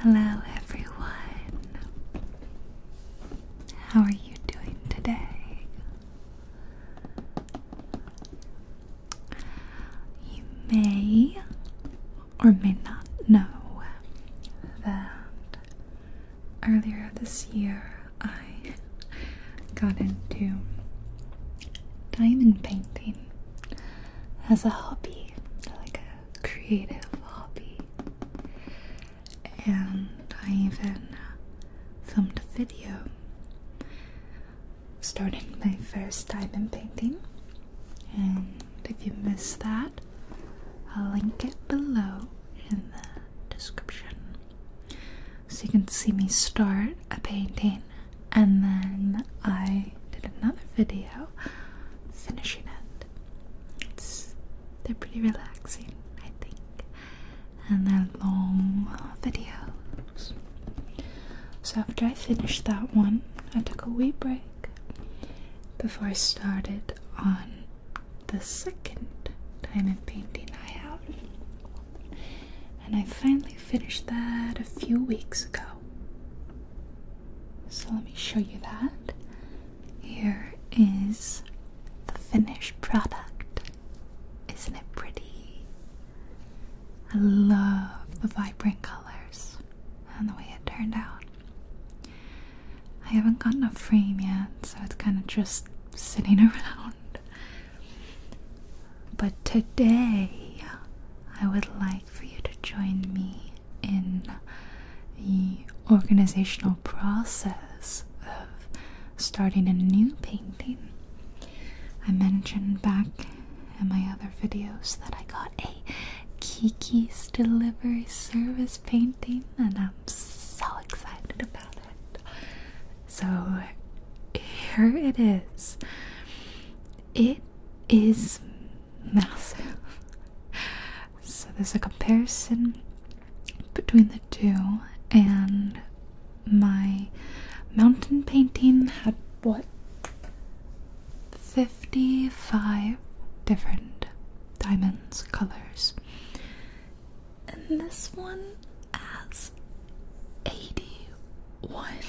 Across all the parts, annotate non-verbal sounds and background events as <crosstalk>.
Hello, everyone. How are you doing today? You may or may not know that earlier this year I got into diamond painting as a hobby, like a creative hobby. And I even uh, filmed a video starting my first diamond painting. And if you missed that, I'll link it below in the description so you can see me start a painting and then I did another video finishing it. It's, they're pretty relaxing, I think, and they're long uh, videos. So after I finished that one, I took a wee break before I started on the second diamond painting I have. And I finally finished that a few weeks ago. So let me show you that. Here is the finished product. Isn't it pretty? I love the vibrant colors and the way it turned out. I haven't gotten a frame yet, so it's kind of just sitting <laughs> around. But today, I would like for you to join me in the organizational process of starting a new painting. I mentioned back in my other videos that I got a Kiki's Delivery Service painting, and I'm so excited about it. So here it is. It is massive. So there's a comparison between the two, and my mountain painting had what? 55 different diamonds, colors. And this one has 81. <laughs>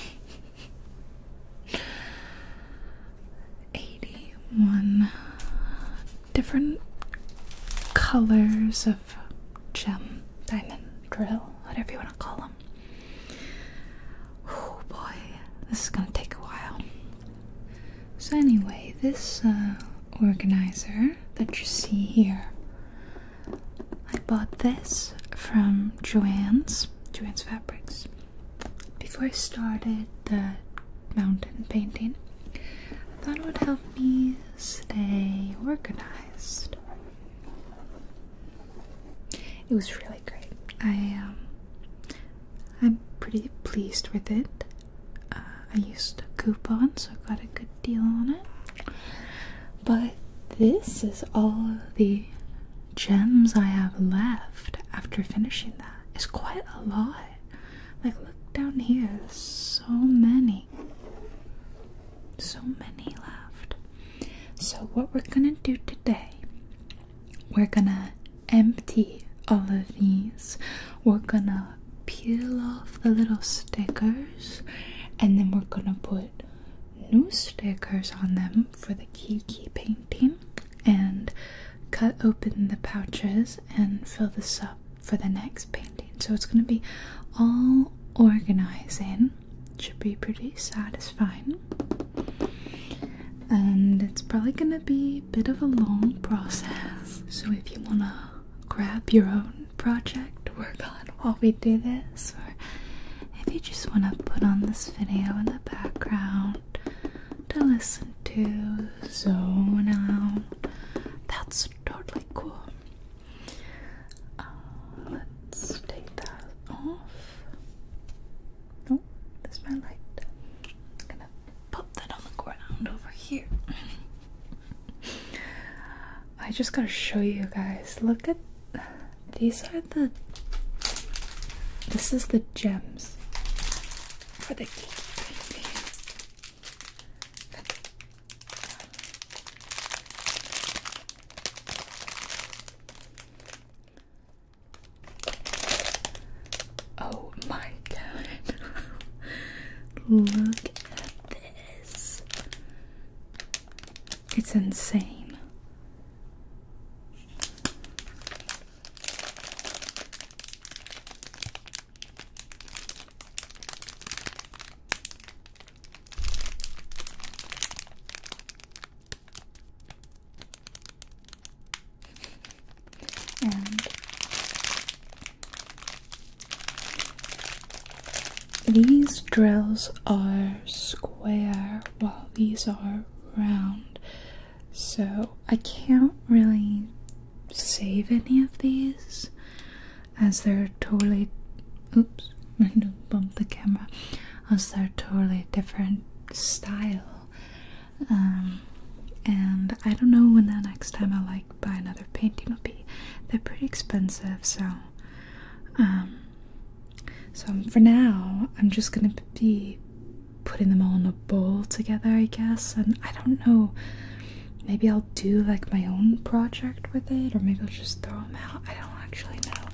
81 different colors of gem, diamond, drill, whatever you want to call them. Oh boy, this is going to take a while. So, anyway, this uh, organizer that you see here, I bought this from Joanne's fabrics, trans fabrics. Before I started the mountain painting, I thought it would help me stay organized. It was really great. I am. Um, I'm pretty pleased with it. Uh, I used a coupon, so I got a good deal on it. But this is all the gems I have left after finishing that is quite a lot. Like, look down here, there's so many. So many left. So, what we're gonna do today, we're gonna empty all of these. We're gonna peel off the little stickers and then we're gonna put new stickers on them for the Kiki painting and cut open the pouches and fill this up for the next painting. So it's going to be all organizing. Should be pretty satisfying. And it's probably going to be a bit of a long process. So if you want to grab your own project to work on while we do this, if you just want to put on this video in the background to listen to, zone out, that's totally cool. Uh, let's take that off. Oh, there's my light. gonna pop that on the ground over here. <laughs> I just gotta show you guys. Look at these are the this is the gems for the gatekeeping Oh my god. <laughs> Look at this. It's insane. And these drills are square well, these are round. So I can't really save any of these as they're totally oops, <laughs> I don't bump the camera. As they're totally different style. Um, and I don't know when the next time I like buy another painting will be. They're pretty expensive so um, so um, for now, I'm just gonna be putting them all in a bowl together, I guess. And I don't know, maybe I'll do like my own project with it, or maybe I'll just throw them out. I don't actually know.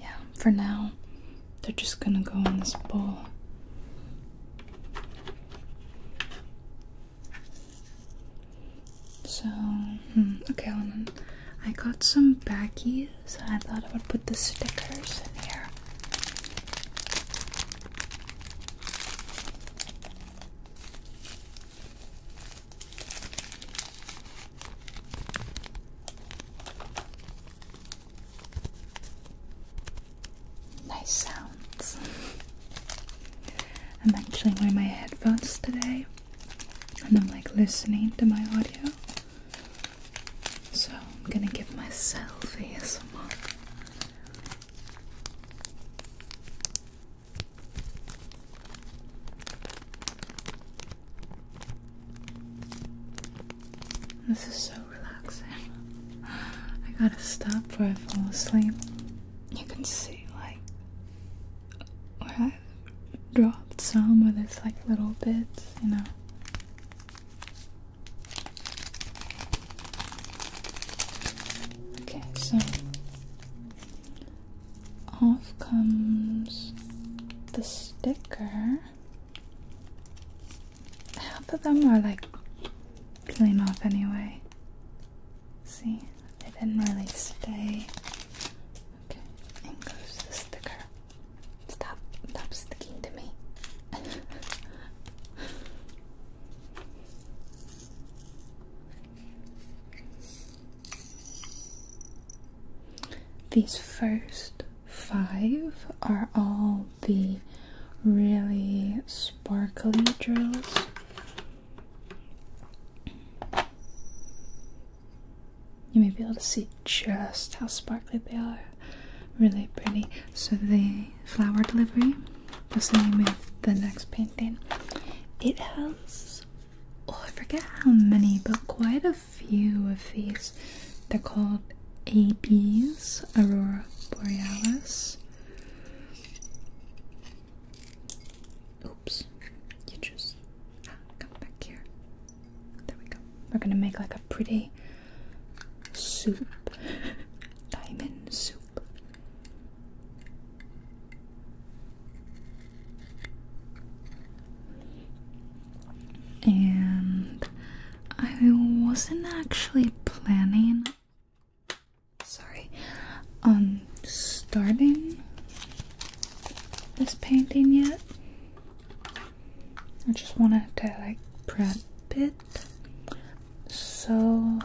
Yeah, for now, they're just gonna go in this bowl. So, hmm, okay, hold on. I got some backies. I thought I would put the stickers in here nice sounds. I'm actually wearing my headphones today and I'm like listening to my audio. So I'm gonna give myself ASMR. This is so relaxing. I gotta stop before I fall asleep. You can see, like, where I dropped some, where there's like little bits, you know. Okay, so off comes the sticker. Half of them are like peeling off anyway. See, it didn't really stay. Okay, in goes the sticker. Stop, stop sticking to me. <laughs> These first five are all the really sparkly drills. You may be able to see just how sparkly they are. Really pretty. So the flower delivery, that's the same of the next painting. It has oh I forget how many, but quite a few of these. They're called ABs, Aurora Borealis. Oops. You just ah, come back here. There we go. We're gonna make like a pretty soup. <laughs> Diamond soup. And I wasn't actually planning sorry I'm um, starting this painting yet I just wanted to like prep it so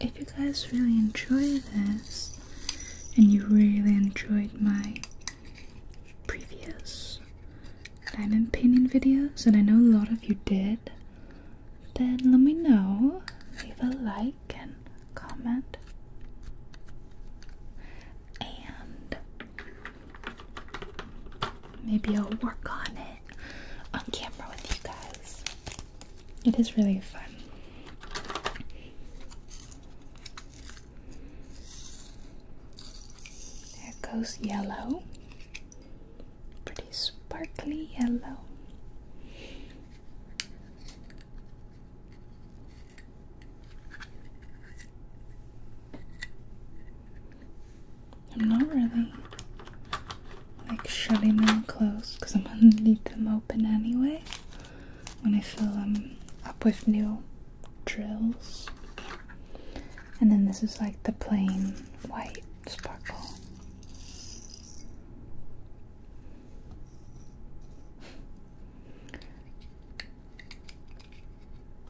if you guys really enjoy this and you really enjoyed my previous diamond painting videos and I know a lot of you did then let me know. Leave a like and comment. And maybe I'll work on it on camera with you guys. It is really fun. There goes yellow pretty sparkly yellow. I'm not really like shutting them closed because I'm gonna leave them open anyway when I fill them up with new drills. And then this is like the plain white sparkle.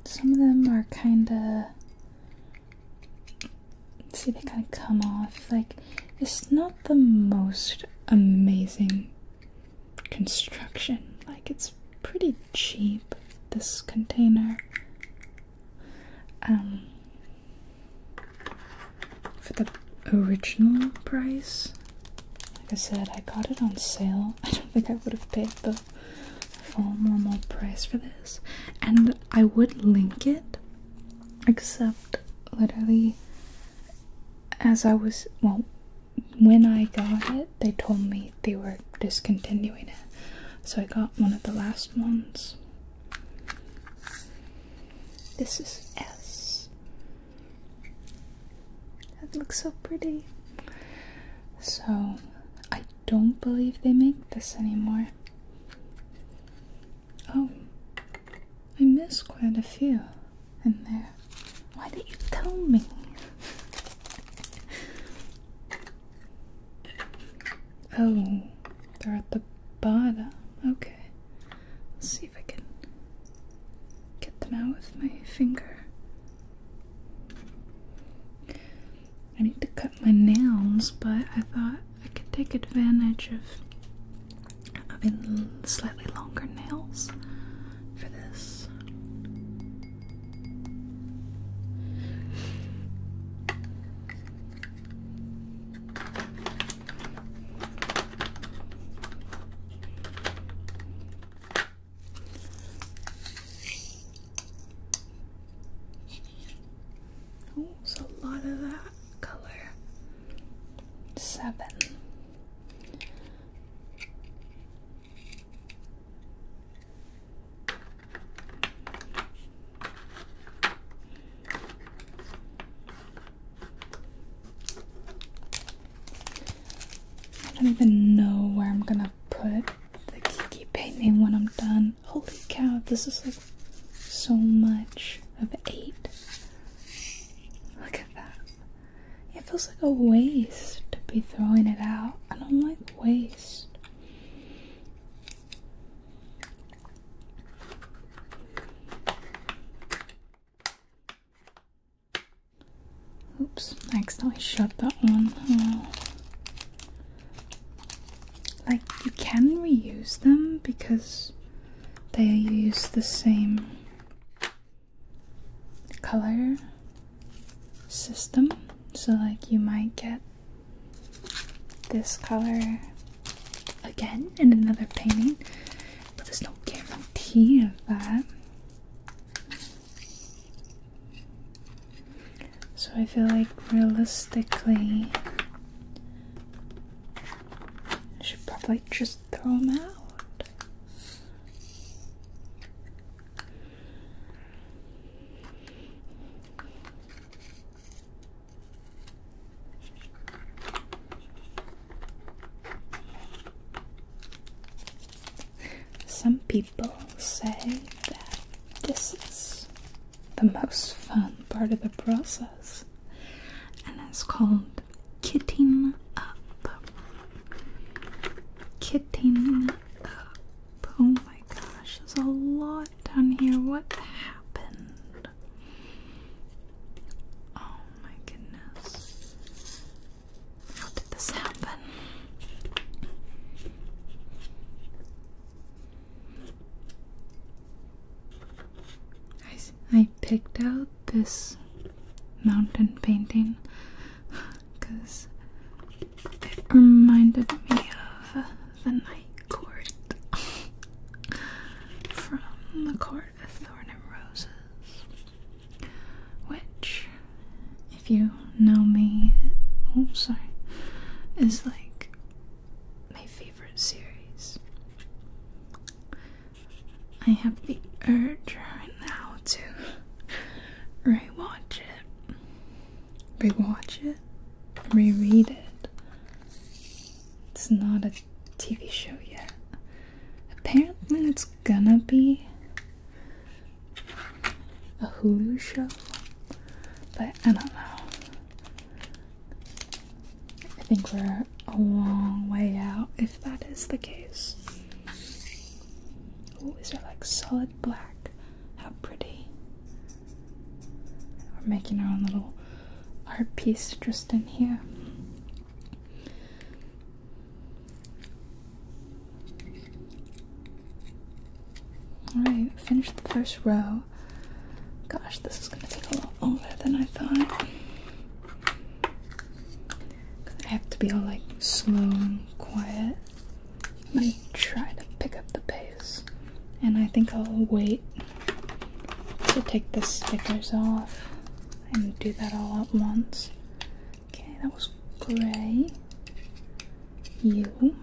Some of them are kind of. See, they kind of come off. Like, it's not the most amazing construction. Like, it's pretty cheap, this container. Um, for the original price. Like I said, I got it on sale. <laughs> I don't think I would have paid the full normal price for this, and I would link it, except literally as I was well. When I got it, they told me they were discontinuing it. So I got one of the last ones. This is S. That looks so pretty. So, I don't believe they make this anymore. Oh, I missed quite a few in there. Why did you tell me? <laughs> Oh, they're at the bottom. Okay. Let's see if I can get them out with my finger. I need to cut my nails, but I thought I could take advantage of having slightly longer nails for this. Oh, it's a lot of that color. Seven. I don't even know where I'm gonna put the Kiki painting when I'm done. Holy cow, this is like so much of eight. Look at that. It feels like a waste to be throwing it out. I don't like waste. Oops, I accidentally shut that one. Oh. Like, you can reuse them because they use the same color system. So, like, you might get this color again in another painting, but there's no guarantee of that. So I feel like realistically, I should probably just throw them out. Some people say that this is the most fun part of the process, and it's called kitting up. Kitting up. Oh my gosh, there's a lot down here. What happened? Oh my goodness. How did this happen? I, I picked out this mountain painting because it reminded me of the night court <laughs> from the court of thorn and roses, which, if you know me, oh sorry, is like my favorite series. I have the urge right now to <laughs> rewatch it, rewatch it, reread it, it's not a TV show yet. Apparently, it's gonna be a Hulu show, but I don't know. I think we're a long way out if that is the case. Oh, is are like solid black. How pretty. We're making our own little art piece just in here. Alright, finished the first row. Gosh, this is going to take a lot longer than I thought. I have to be all like slow and quiet. I'm going to try to pick up the pace. And I think I'll wait to take the stickers off and do that all at once. Okay, that was gray. You.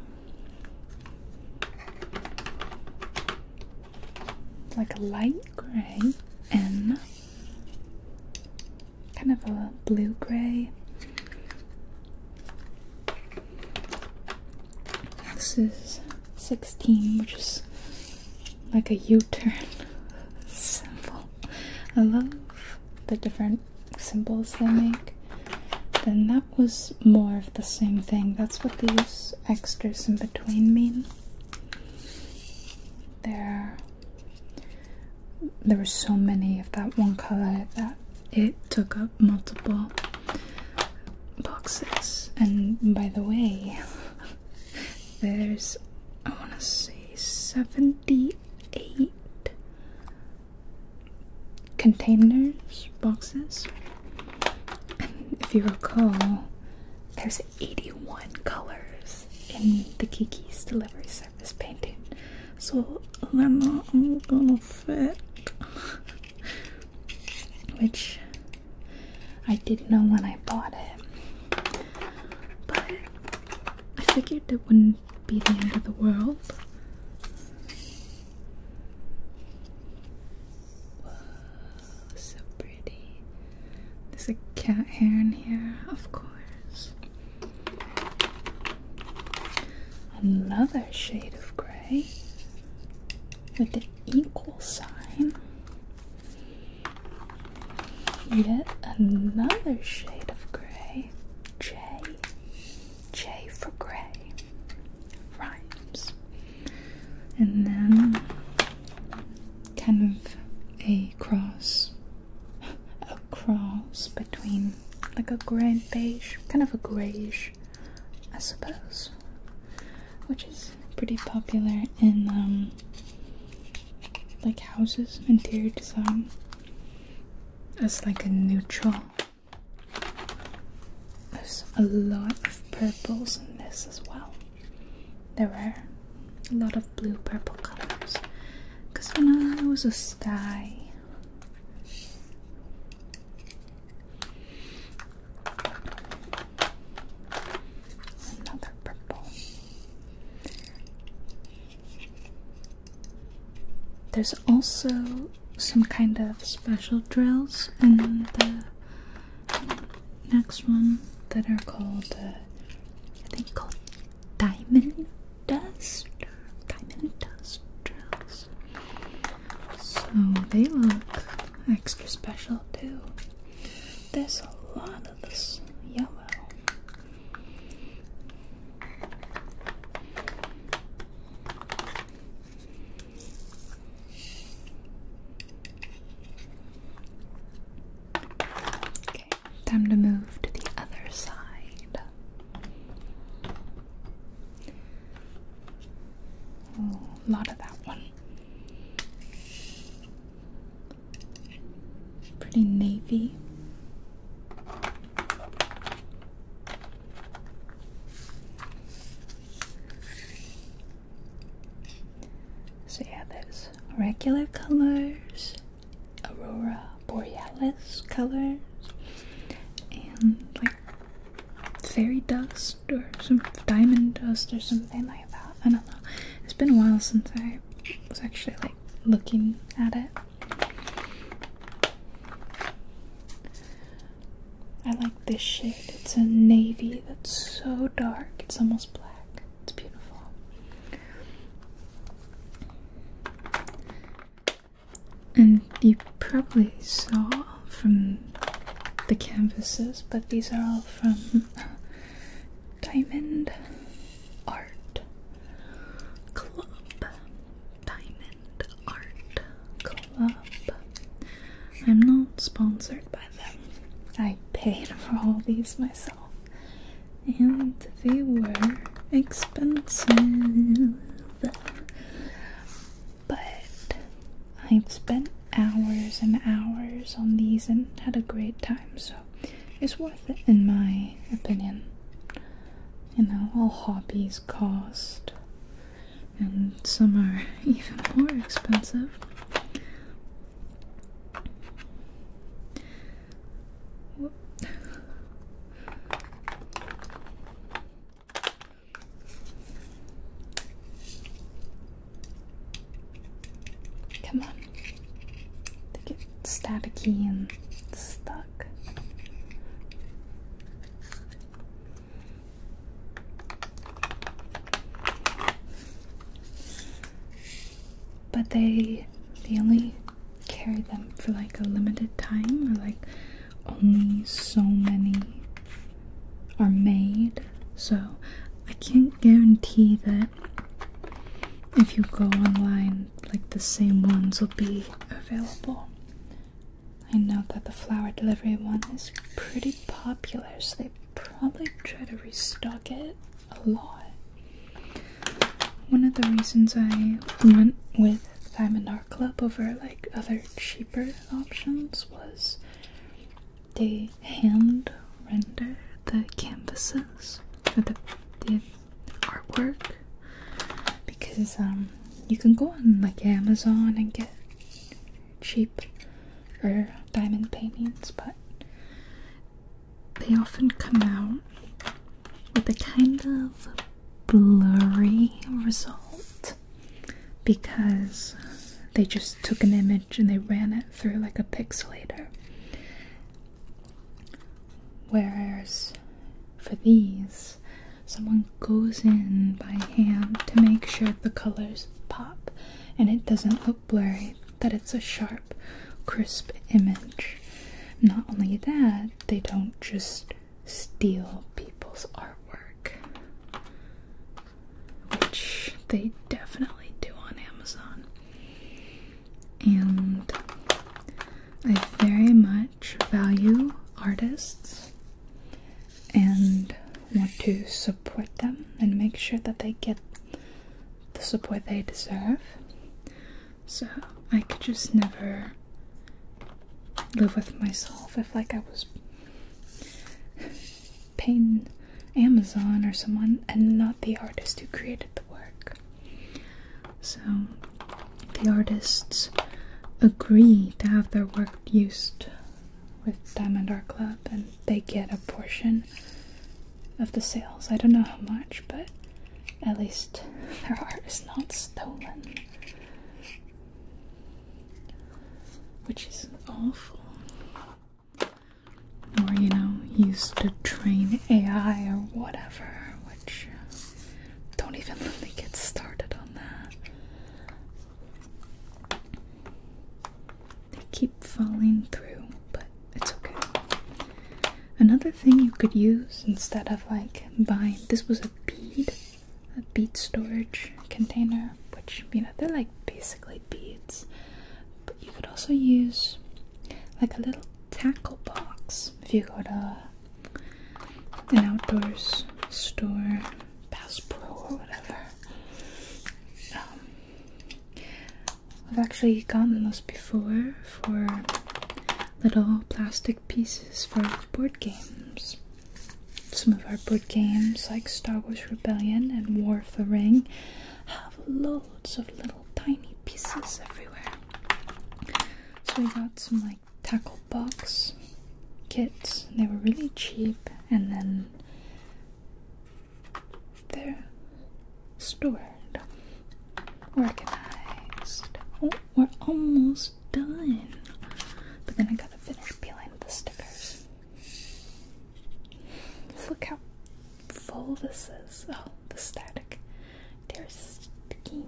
Like a light gray. and Kind of a blue gray. X is 16, which is like a U-turn symbol. I love the different symbols they make. Then that was more of the same thing. That's what these extras in between mean. There, there were so many of that one color that it took up multiple boxes. And by the way, <laughs> there's I want to say 78 containers, boxes. if you recall, there's 81 colors in the Kiki's delivery service painting. So I'm not gonna fit. <laughs> Which I did not know when I bought it, but I figured it wouldn't be the end of the world. so pretty. There's a cat hair in here, of course. Another shade of gray with the equal sign. Yet another shade of gray. J. J for gray. Rhymes. And then kind of a cross. <laughs> A cross between like a gray and beige, kind of a grayish I suppose, which is pretty popular in um, like houses, interior design. As like a neutral. There's a lot of purples in this as well. There were a lot of blue purple colors because you know I was a sky Another purple. There's also some kind of special drills in the next one that are called, uh, I think called diamond dust, diamond dust drills. So they look extra special too. There's a lot of this yellow. Okay, time to move to the other side. a lot of that one. Pretty navy. So, yeah, there's regular colors, aurora borealis colors, and like fairy dust or some diamond dust or something like that. I don't know. It's been a while since I was actually like looking at it. I like this shade. It's a navy that's so dark. It's almost black. It's beautiful. And you probably saw from the canvases, but these are all from <laughs> Diamond Art Club. Diamond Art Club. I'm not sponsored by them. I paid for all these myself. And they were expensive. But I've spent hours and hours on these and had a great time, so it's worth it in my opinion. You know, all hobbies cost, and some are <laughs> even more expensive. Come on. They get staticky and stuck. But they they only carry them for like a limited time or like only so many are made, so I can't guarantee that if you go online, like the same ones will be available. I know that the flower delivery one is pretty popular, so they probably try to restock it a lot. One of the reasons I went with Diamond Art Club over like other cheaper options was they hand render the canvases or the, artwork because um, you can go on like Amazon and get cheap or diamond paintings but they often come out with a kind of blurry result because they just took an image and they ran it through like a pixelator. Whereas for these, someone goes in by hand to make sure the colors pop and it doesn't look blurry, that it's a sharp, crisp image. Not only that, they don't just steal people's artwork which they definitely do on Amazon. And I very much value artists and want to support them and make sure that they get the support they deserve. So I could just never live with myself if like I was paint Amazon or someone and not the artist who created the work. So the artists agree to have their work used with Diamond Art Club and they get a portion of the sales. I don't know how much, but at least <laughs> their art is not stolen which is awful. Or, you know, used to train AI or whatever, which don't even let me get started on that. They keep falling through, but it's okay. Another thing you could use instead of like buying this was a bead, a bead storage container, which, you know, they're like basically beads. But you could also use like a little tackle box if you go to an outdoors store, Bass Pro or whatever. Um, I've actually gotten those before for little plastic pieces for board games. Some of our board games, like Star Wars Rebellion and War of the Ring, have loads of little tiny pieces everywhere. So we got some like tackle box kits. They were really cheap, and then they're stored, organized. Oh, we're almost done. But then I gotta finish peeling the stickers look how full this is. Oh, the static. There's skin.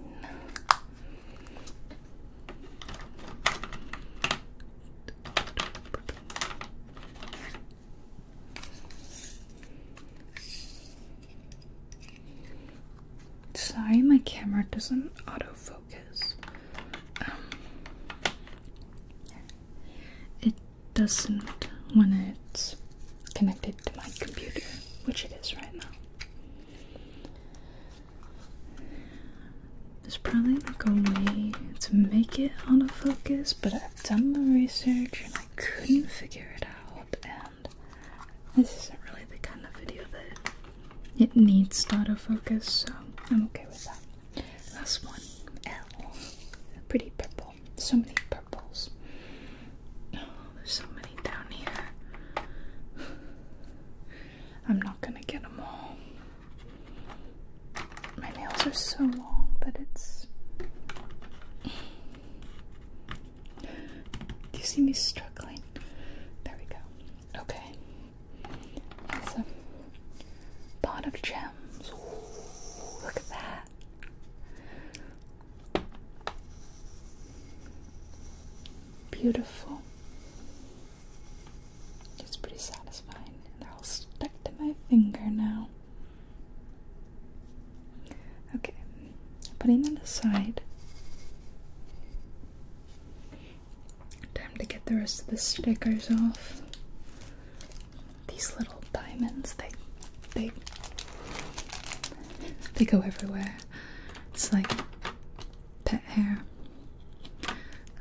Sorry, my camera doesn't autofocus. Um, it doesn't when it's connected to my computer, which it is right now. There's probably like a way to make it autofocus, but I've done the research and I couldn't figure it out, and this isn't really the kind of video that it needs to autofocus, so I'm okay with that. Last one, L. Pretty purple. So many purples. Oh, there's so many down here. I'm not gonna get them all. My nails are so long that it's. Do you see me struggling? There we go. Okay. Some pot of gems. look at that. Beautiful. It's pretty satisfying. They're all stuck to my finger now. Okay, putting that aside. Time to get the rest of the stickers off. These little diamonds, they they they go everywhere. It's like pet hair.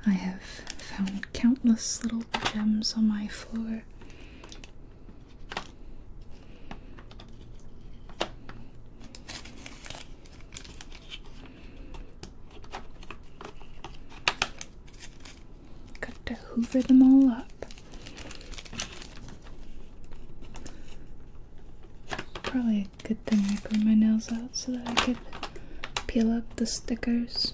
I have found countless little gems on my floor. Got to hoover them all up. Probably a good thing I grew my nails out so that I could peel up the stickers.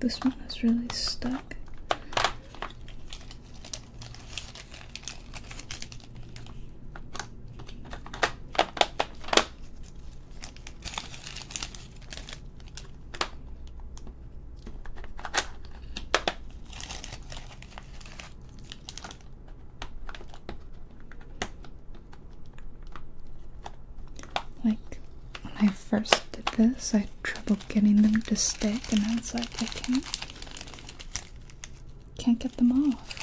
this one is really stuck. Like when I first did this, I had trouble getting them to stick, and I was like, I can't, can't get them off.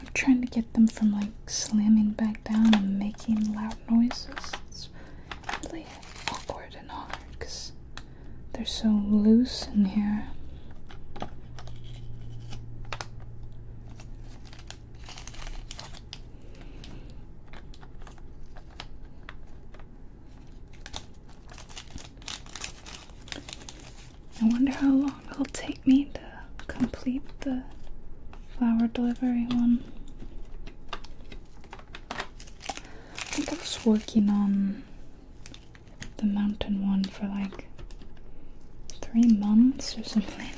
I'm trying to get them from like slamming back down and making loud noises. It's really awkward and hard because they're so loose in here. I wonder how long it'll take me to complete the flower delivery one. I think I was working on the mountain one for like three months or something. <laughs>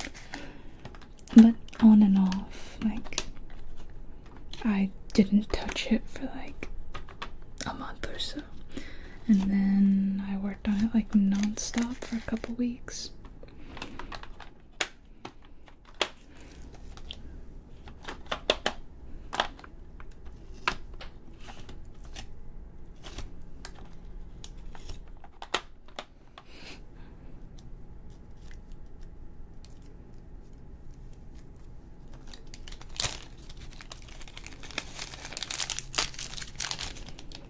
But on and off, like, I didn't touch it for like a month or so and then I worked on it like nonstop for a couple weeks.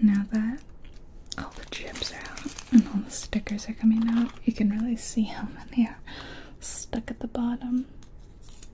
Now that all the chips are out and all the stickers are coming out, you can really see how many are stuck at the bottom.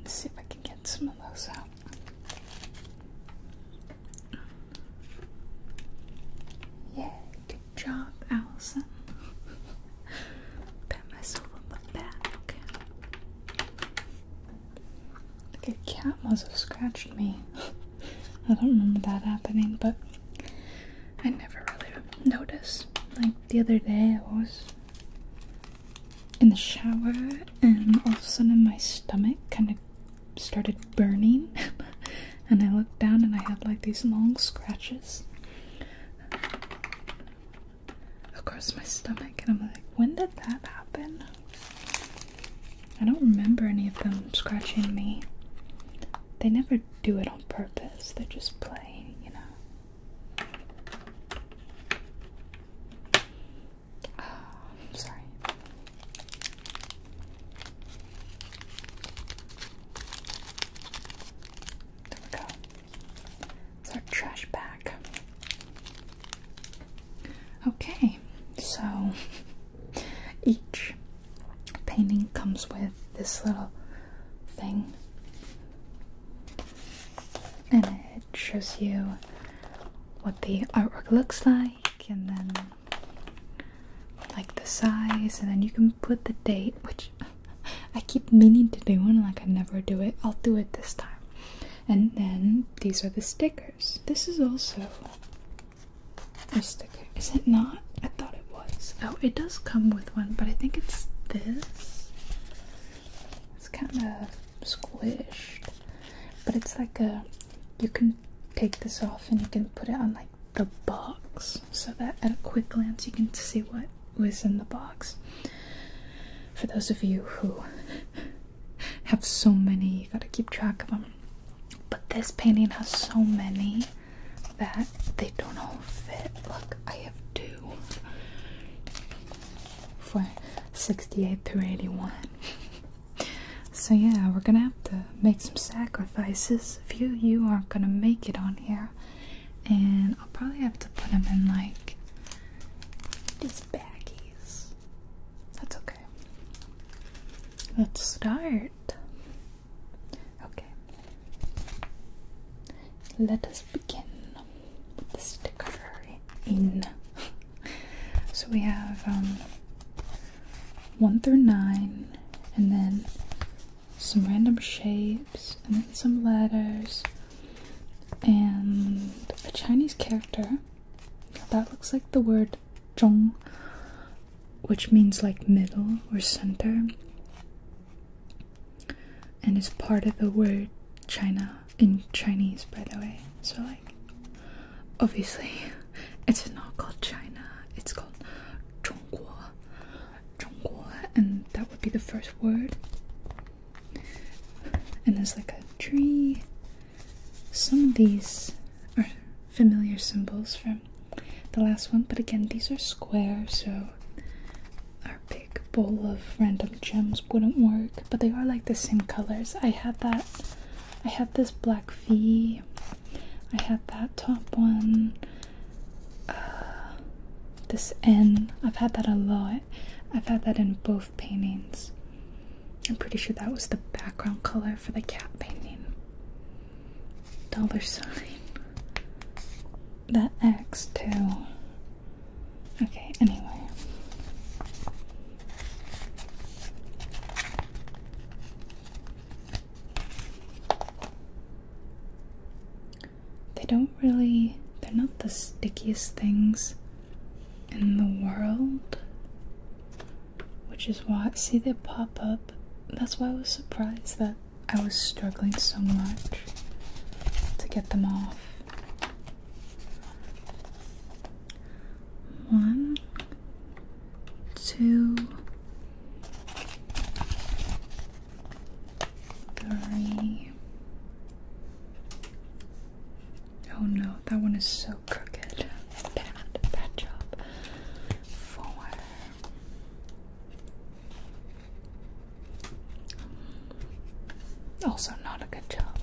Let's see if I can get some of those out. Yeah, good job, Allison. Pat myself on the back. Like a cat must have scratched me. <laughs> I don't remember that happening, but I never really noticed. Like the other day, I was in the shower, and all of a sudden my stomach kind of started burning. <laughs> and I looked down, and I had like these long scratches across my stomach. And I'm like, when did that happen? I don't remember any of them scratching me. They never do it on purpose, they're just playing, you know. Oh, <sighs> sorry. There we go. It's our trash bag. Okay, so <laughs> each painting comes with this little thing. And it shows you what the artwork looks like, and then like the size, and then you can put the date, which <laughs> I keep meaning to do, and like I never do it. I'll do it this time. And then these are the stickers. This is also a sticker. Is it not? I thought it was. Oh, it does come with one, but I think it's this. It's kind of squished, but it's like a you can take this off and you can put it on like the box so that at a quick glance you can see what was in the box. For those of you who <laughs> have so many, you gotta keep track of them. But this painting has so many that they don't all fit. Look, I have two for 68 through 81. <laughs> so, yeah, we're gonna have to make some sacrifices. A few of you aren't gonna make it on here, and I'll probably have to put them in like these baggies. That's okay. Let's start. Okay. Let us begin sticker in. <laughs> so we have um, one through nine, and then some random shapes, and then some letters, and a Chinese character that looks like the word zhong, which means like middle or center and it's part of the word China in Chinese, by the way. So, like, obviously, <laughs> it's not called China, it's called Zhongguo. Zhongguo, and that would be the first word. And there's like a tree. Some of these are familiar symbols from the last one, but again, these are square, so our bowl of random gems wouldn't work, but they are like the same colors. I had that, I had this black V, I had that top one, uh, this N. I've had that a lot. I've had that in both paintings. I'm pretty sure that was the background color for the cat painting. Dollar sign. <laughs> That X, too. Okay, anyway. They don't really, they're not the stickiest things in the world. Which is why, see, they pop up. That's why I was surprised that I was struggling so much to get them off. One, two, three. Oh no, that one is so crooked. Bad, bad job. Four. Also, not a good job.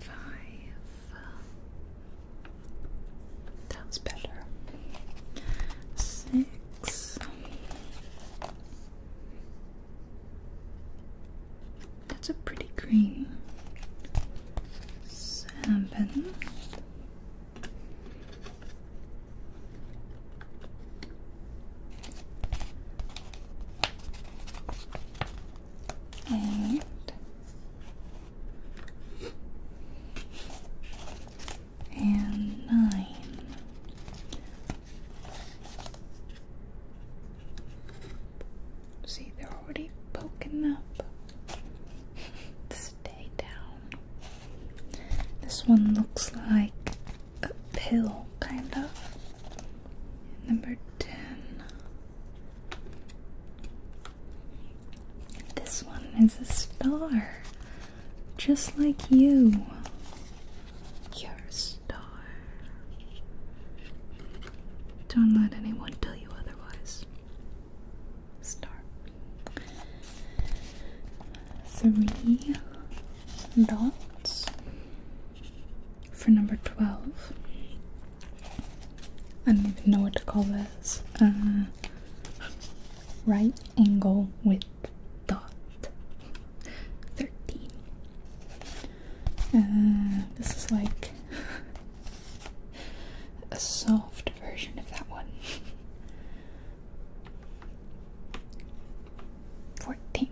Five. Uh, That's better. Six. That's a pretty green. Seven and and nine. See, they're already poking up. <laughs> Stay down. This one looks like a pill, kind of. Number 10. This one is a star, just like you. You're a star. Don't let anyone tell you otherwise. Star. Three dots for number 12. I don't even know what to call this. Uh, right angle with dot 13. Uh, this is like <laughs> a soft version of that one. <laughs> 14.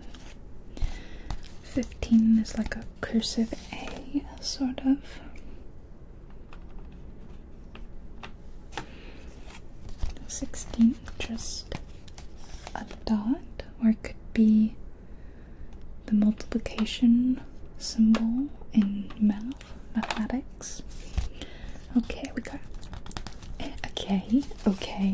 15 is like a cursive A, sort of. Sixteen, just a dot, or it could be the multiplication symbol in math, mathematics. Okay, we got okay, okay,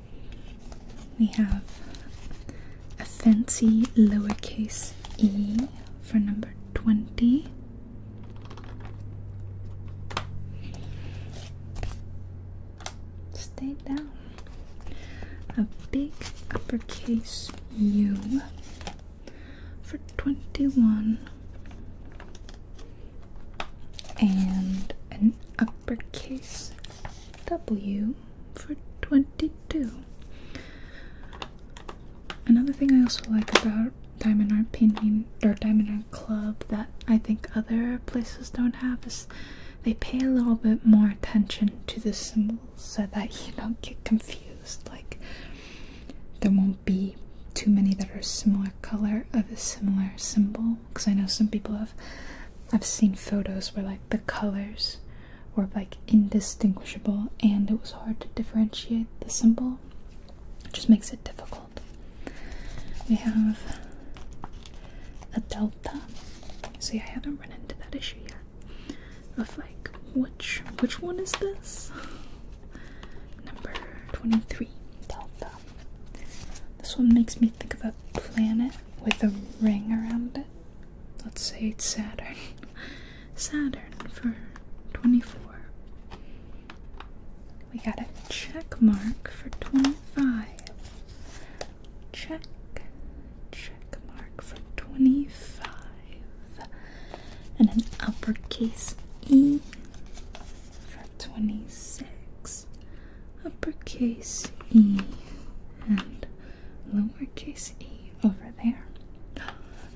We have a fancy lowercase e for number 20. Stay down. A big uppercase U for 21 and an uppercase W for 22. Another thing I also like about Diamond Art Painting or Diamond Art Club that I think other places don't have is they pay a little bit more attention to the symbols so that you don't get confused. Like, there won't be too many that are similar color of a similar symbol because I know some people have I've seen photos where like the colors were like indistinguishable and it was hard to differentiate the symbol it just makes it difficult we have a delta see I haven't run into that issue yet of like which which one is this number 23 delta this one makes me think of a planet with a ring around it. Let's say it's Saturn. <laughs> Saturn for 24. We got a check mark for 25. Check, check mark for 25. And an uppercase E for 26 uppercase E and lowercase e over there.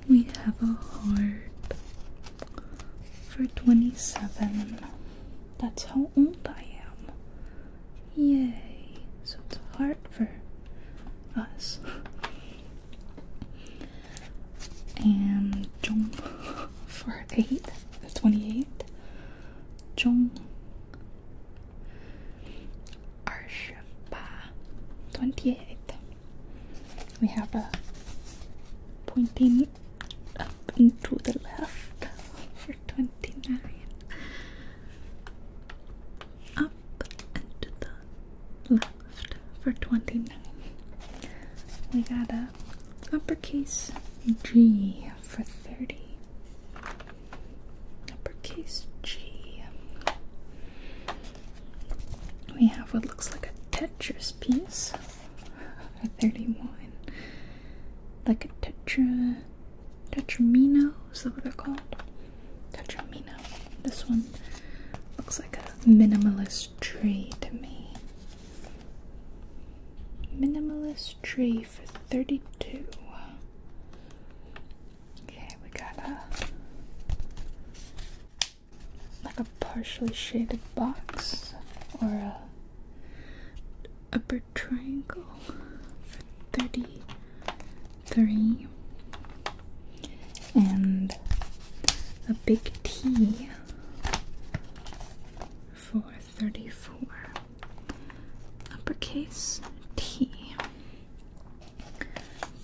We have a heart for 27. That's how old I am. Yay! So it's a heart for us. And jump for 8, 28. 中二十八 twenty We have a pointing up into the left for twenty-nine. Up into the left for twenty-nine. We got a uppercase G for 30. Uppercase G. We have what looks like a Tetris piece 31. Like a tetra. Tetramino, is that what they're called? Tetramino. This one looks like a minimalist tree to me. Minimalist tree for 32. Okay, we got a like a partially shaded box or a upper triangle for 33 and a big T for 34 uppercase T.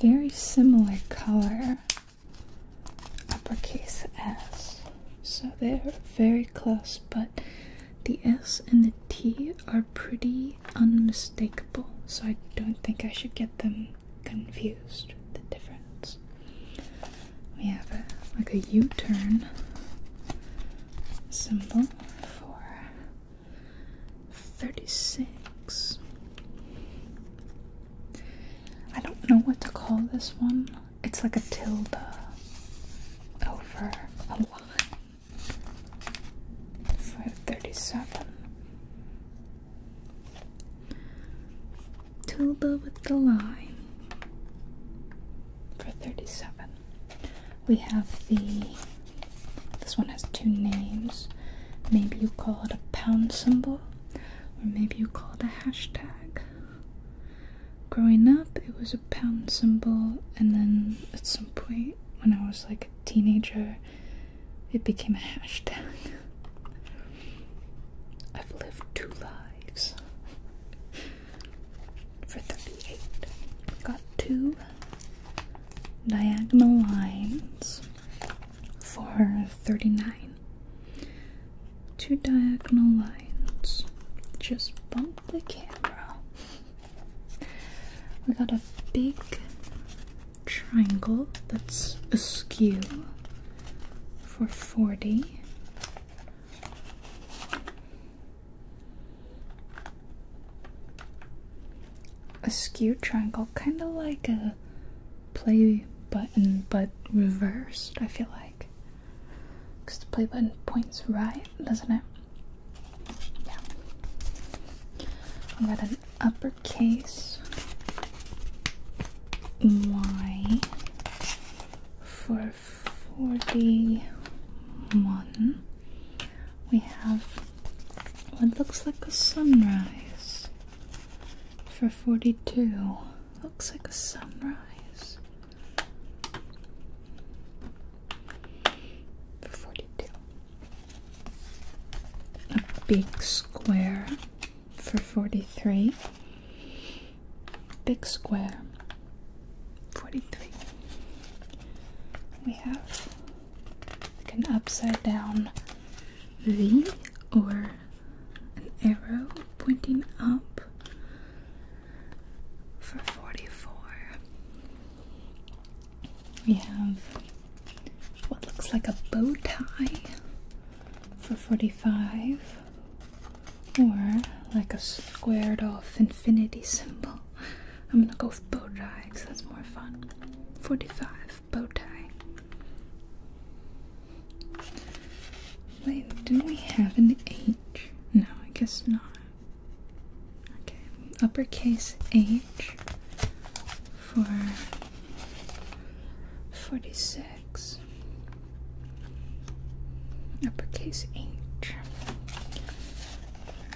Very similar color uppercase S. So they're very close, but the S and the T are pretty unmistakable, so I don't think I should get them confused, the difference. We have a, like a U-turn symbol for 36. I don't know what to call this one. It's like a tilde over a line Five thirty-seven. Tilde with the line for 37. We have the. This one has two names. Maybe you call it a pound symbol, or maybe you call it a hashtag. Growing up, it was a pound symbol, and then at some point when I was like a teenager, it became a hashtag. <laughs> I've lived two lives for 38. Got two diagonal lines for 39. Two diagonal lines. Just bump the camera. We got a big triangle that's askew for 40 a skewed triangle, kind of like a play button but reversed, I feel like. Because the play button points right, doesn't it? Yeah. I've got an uppercase Y for number 41 we have what looks like a sunrise for 42 looks like a sunrise for 42 a big square for 43 big square 43 we have like an upside down V or an arrow pointing up for 44 we have what looks like a bow tie for 45 or like a squared off infinity symbol. I'm gonna go with bow tie because that's more fun. 45 bow tie. Wait, do we have an H? No, I guess not. Okay, uppercase H for 46 uppercase H.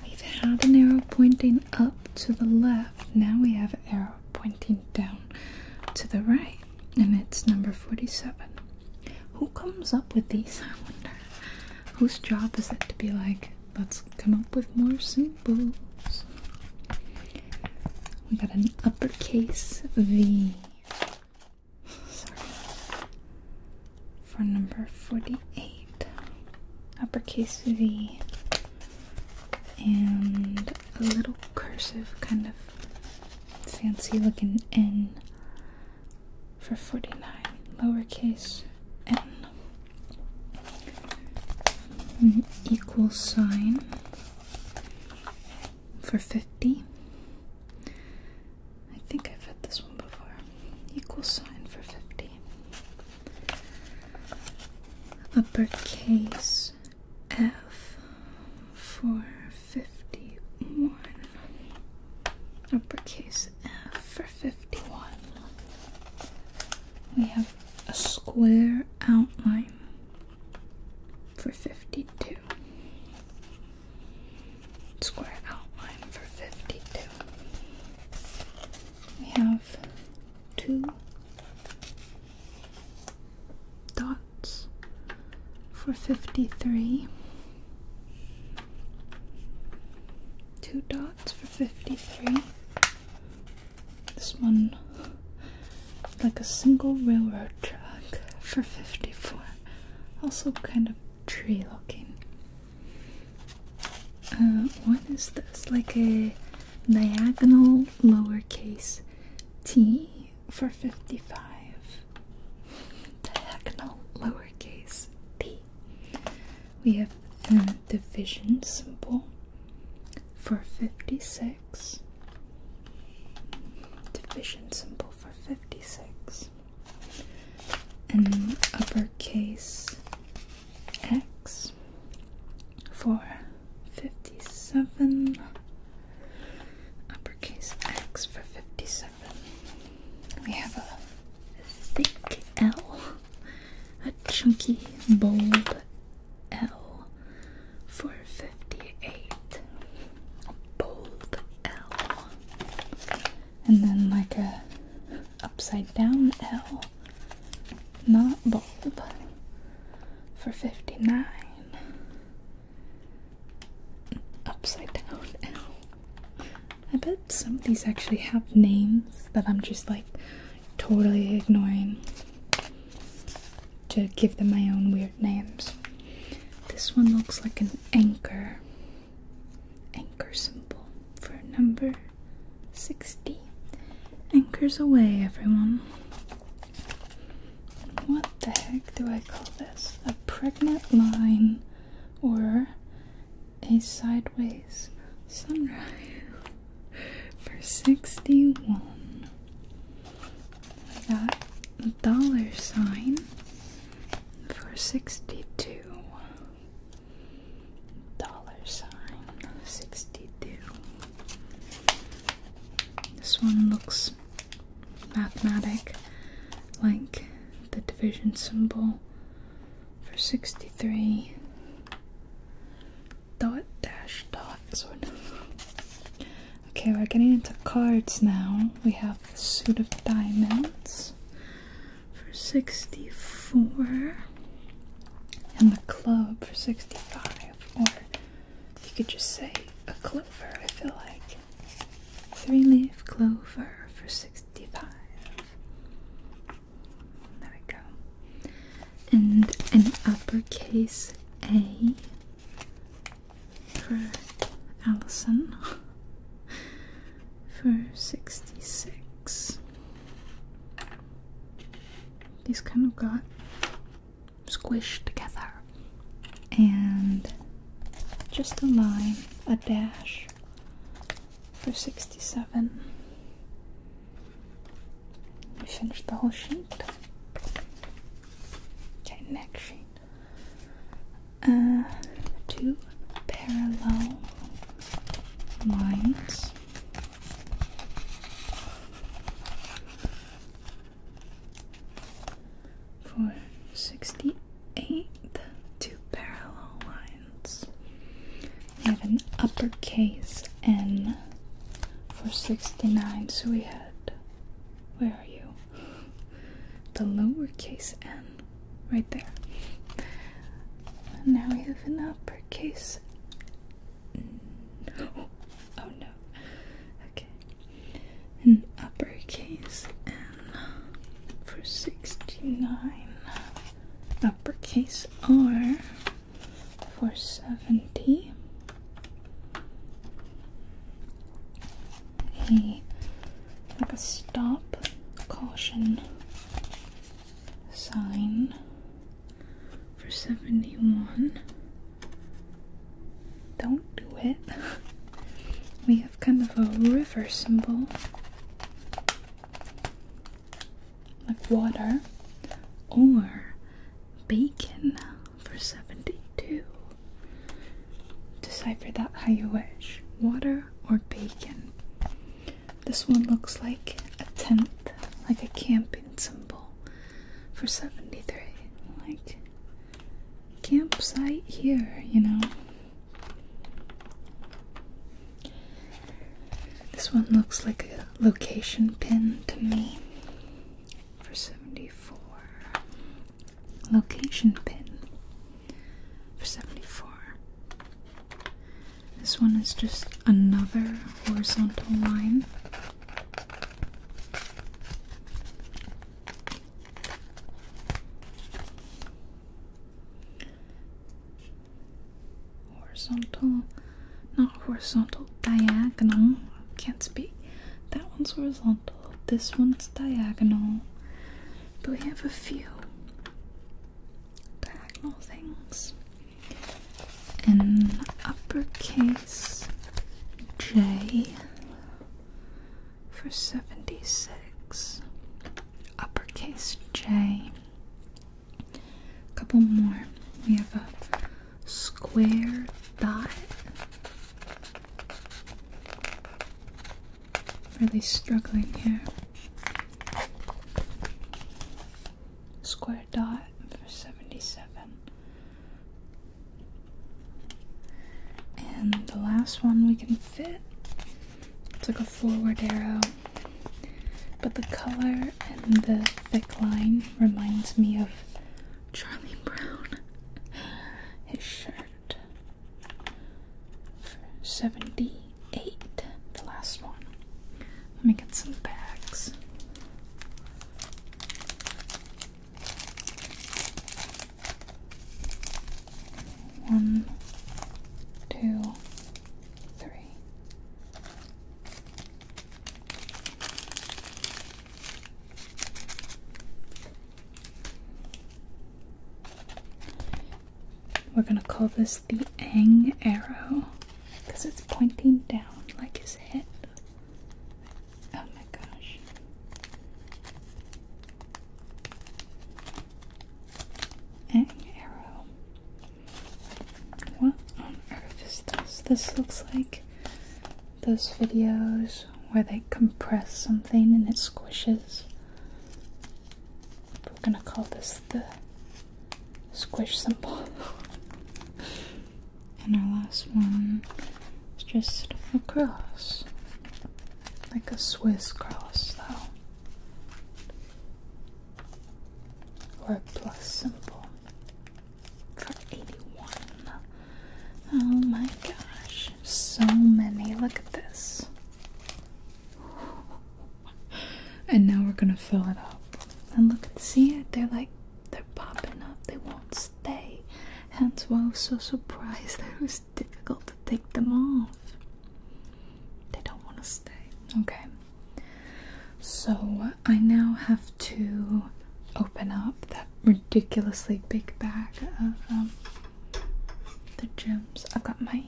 We've had an arrow pointing up to the left, now we have an arrow pointing down to the right, and it's number 47. Who comes up with these, I wonder? Whose job is it to be like, let's come up with more symbols? We got an uppercase V sorry, for number 48, uppercase V, and a little cursive kind of fancy looking N for 49, lowercase n, an equal sign for 50, I think I've had this one before. Equal sign for 50. Uppercase F for 51. Uppercase F for 51. We have a square outline for 52 square outline for 52. We have two dots for 53. Two dots for 53. This one like a single railroad track for 54. Also kind of tree looking. Uh, what is this? Like a diagonal lowercase t for 55. Diagonal lowercase t. We have a division symbol for 56. Division symbol for 56 and uppercase X for 57 uppercase X for 57 we have a thick L a chunky bold L for 58 bold L and then like a upside down L, not bulb, for fifty nine. Upside down L. I bet some of these actually have names that I'm just like totally ignoring to give them my own weird names. This one looks like an anchor anchor symbol for number 60. Anchors away, everyone. What the heck do I call this? A pregnant line or a sideways sunrise <laughs> for 61. I got a dollar sign for 62 dollar sign 62. This one looks mathematical, like the division symbol for 63. Dot dash dot, sort of. Okay, we're getting into cards now. We have the suit of diamonds for sixty-four, and the club for sixty-five, or you could just say a clover. I feel like three-leaf clover for sixty-five. There we go. And an uppercase A for Allison. <laughs> for 66. These kind of got squished together. And just a line, a dash for 67. We finished the whole sheet. Okay, next sheet uh, two parallel lines for sixty eight two parallel lines. We have an uppercase N for sixty nine, so we had where are you? The lowercase N Right there. And now we have an uppercase. No. <gasps> Oh no. Okay. An uppercase N for 69. Uppercase R for 70 a like a stop caution sign for 71. Don't do it. We have kind of a river symbol. Like water or bacon for 72. Decipher that how you wish. Water or bacon. This one looks like a tent, like a camping symbol for 73. Like campsite here, you know. This one looks like a location pin to me for 74. Location pin for 74. This one is just another horizontal line. Horizontal, not horizontal, diagonal. Can't speak. That one's horizontal, this one's diagonal but we have a few diagonal things. In uppercase J for 76, uppercase J. A couple more. We have a square dot really struggling here. Square dot for 77. And the last one we can fit. It's like a forward arrow. But the color and the thick line reminds me of Charlie Brown. <laughs> His shirt. 78, the last one. Let me get some bags. One, two, three. We're gonna call this the Ang arrow because it's pointing down like his head. Oh my gosh. Ang arrow. What on earth is this? This looks like those videos where they compress something and it squishes. We're gonna call this the squish symbol. and our last one is just a cross. Like a Swiss cross, though. Or a plus symbol. For 81. Oh my gosh. So many. Look at this and now we're gonna fill it up. And look, and see it? They're like, they're popping up. They won't stay. Hence why I was so surprised that it was difficult to take them off. They don't want to stay. Okay. So I now have to open up that ridiculously big bag of um, the gems. I've got my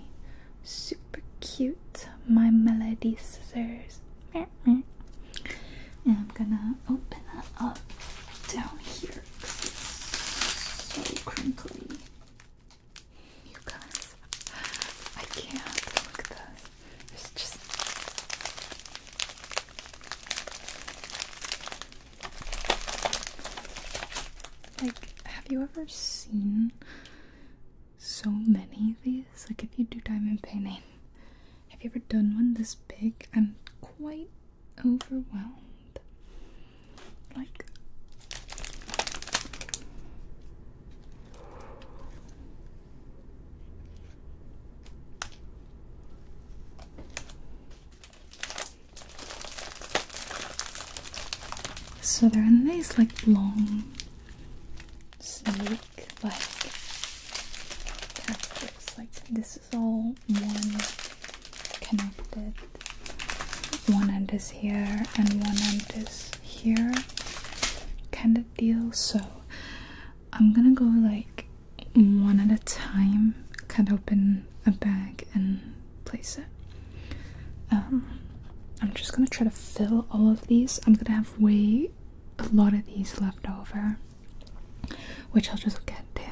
super cute my melody scissors and i'm gonna open it up down here so crinkly you guys i can't look at this it's just like have you ever seen so many of these. Like, if you do diamond painting, have you ever done one this big? I'm quite overwhelmed. Like, so they're in these like, long snake, like, tactics. Like, this is all one connected. One end is here, and one end is here, kind of deal. So, I'm gonna go like one at a time, cut open a bag, and place it. Um, I'm just gonna try to fill all of these. I'm gonna have way a lot of these left over, which I'll just get to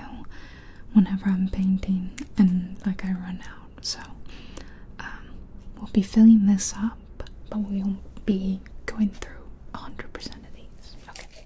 whenever I'm painting and like I run out. So um, we'll be filling this up, but we won't be going through 100% of these. Okay.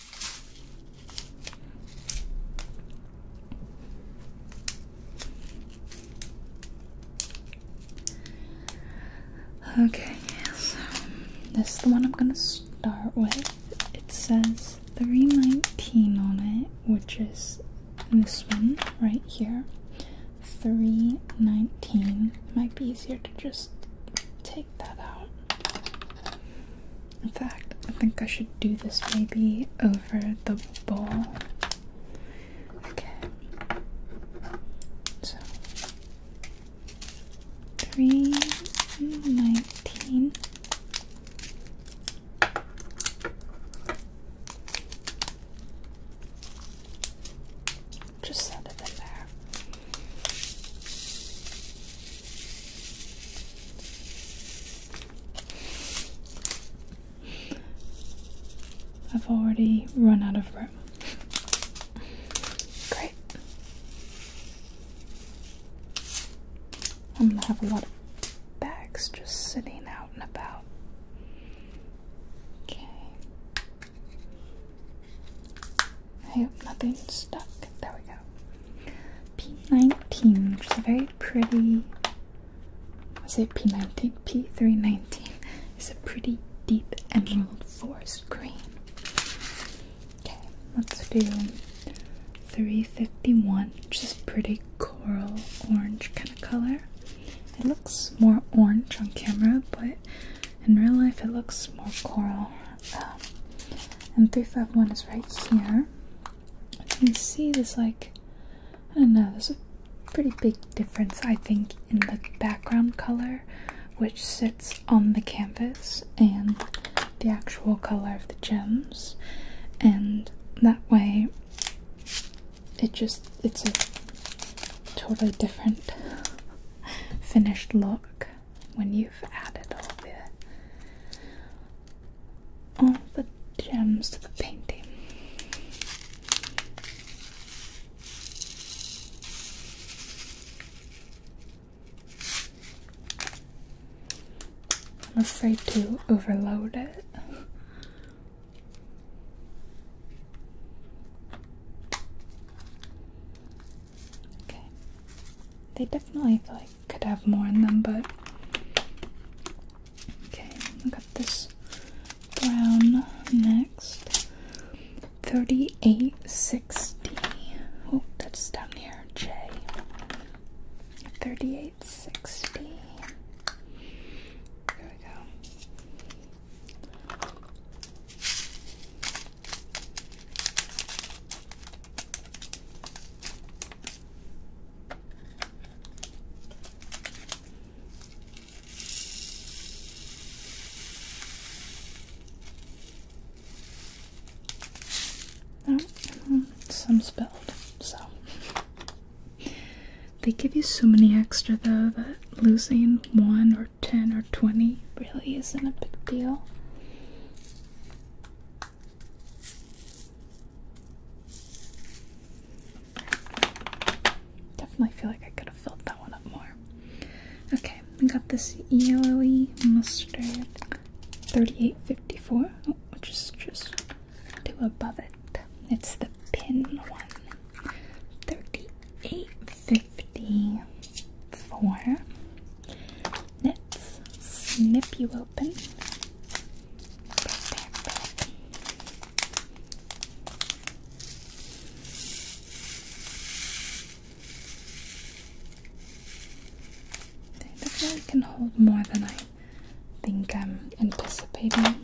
Okay, so this is the one I'm gonna start with. It says 319 on it, which is this one right here. 319. It might be easier to just take that out. In fact, I think I should do this maybe over the bowl. Okay. So, 319. Just set it in there. I've already run out of room. Great. I'm gonna have a lot of bags just sitting out and about. Okay. I hope nothing's stuck. There we go. P19, which is a very pretty. what's it P19? P319 is a pretty deep emerald forest green. Okay, let's do 351, which is pretty coral orange kind of color. It looks more orange on camera, but in real life it looks more coral. Um, and 351 is right here you can see there's like I don't know, there's a pretty big difference I think in the background color which sits on the canvas and the actual color of the gems and that way it just it's a totally different <laughs> finished look when you've added all the all the gems to the painting. I'm afraid to overload it. Okay. They definitely like could have more in them, but okay. I got this brown next. Thirty-eight sixty. Oh, that's down here. J. Thirty-eight sixty. There we go. Oh, some spelled, so they give you so many extra though that losing one or ten or twenty really isn't a big deal. Definitely feel like I could have filled that one up more. Okay, we got this yellowy mustard 3854, which is just two above it. It's the pin one. 3854. Let's snip you up open. Prepare, I can hold more than I think I'm anticipating,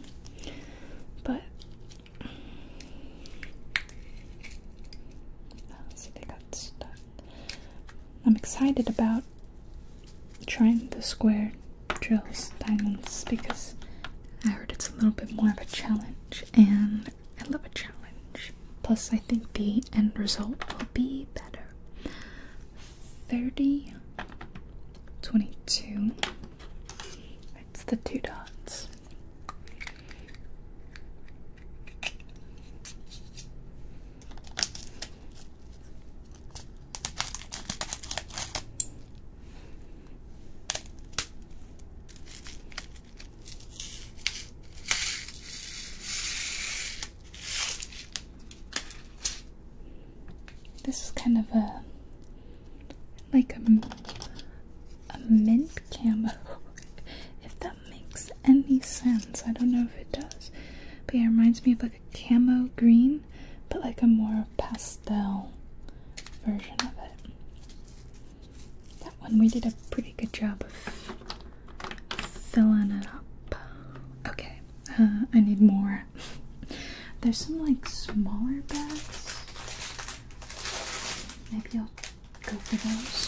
but see, they got stuck. I'm excited about trying the square drills diamonds because I heard it's a little bit more of a challenge and I love a challenge. Plus I think the end result will be better. 30 22 It's the two dots. This is kind of a like a, a mint camo, <laughs> if that makes any sense. I don't know if it does, but it reminds me of a camo green, but like a more pastel version of it. That one we did a pretty good job of filling it up. Okay, uh, I need more. <laughs> There's some like smaller bags. Maybe I'll go for those.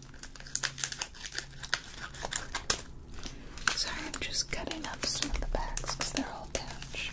Sorry, I'm just cutting up some of the backs because they're all touched.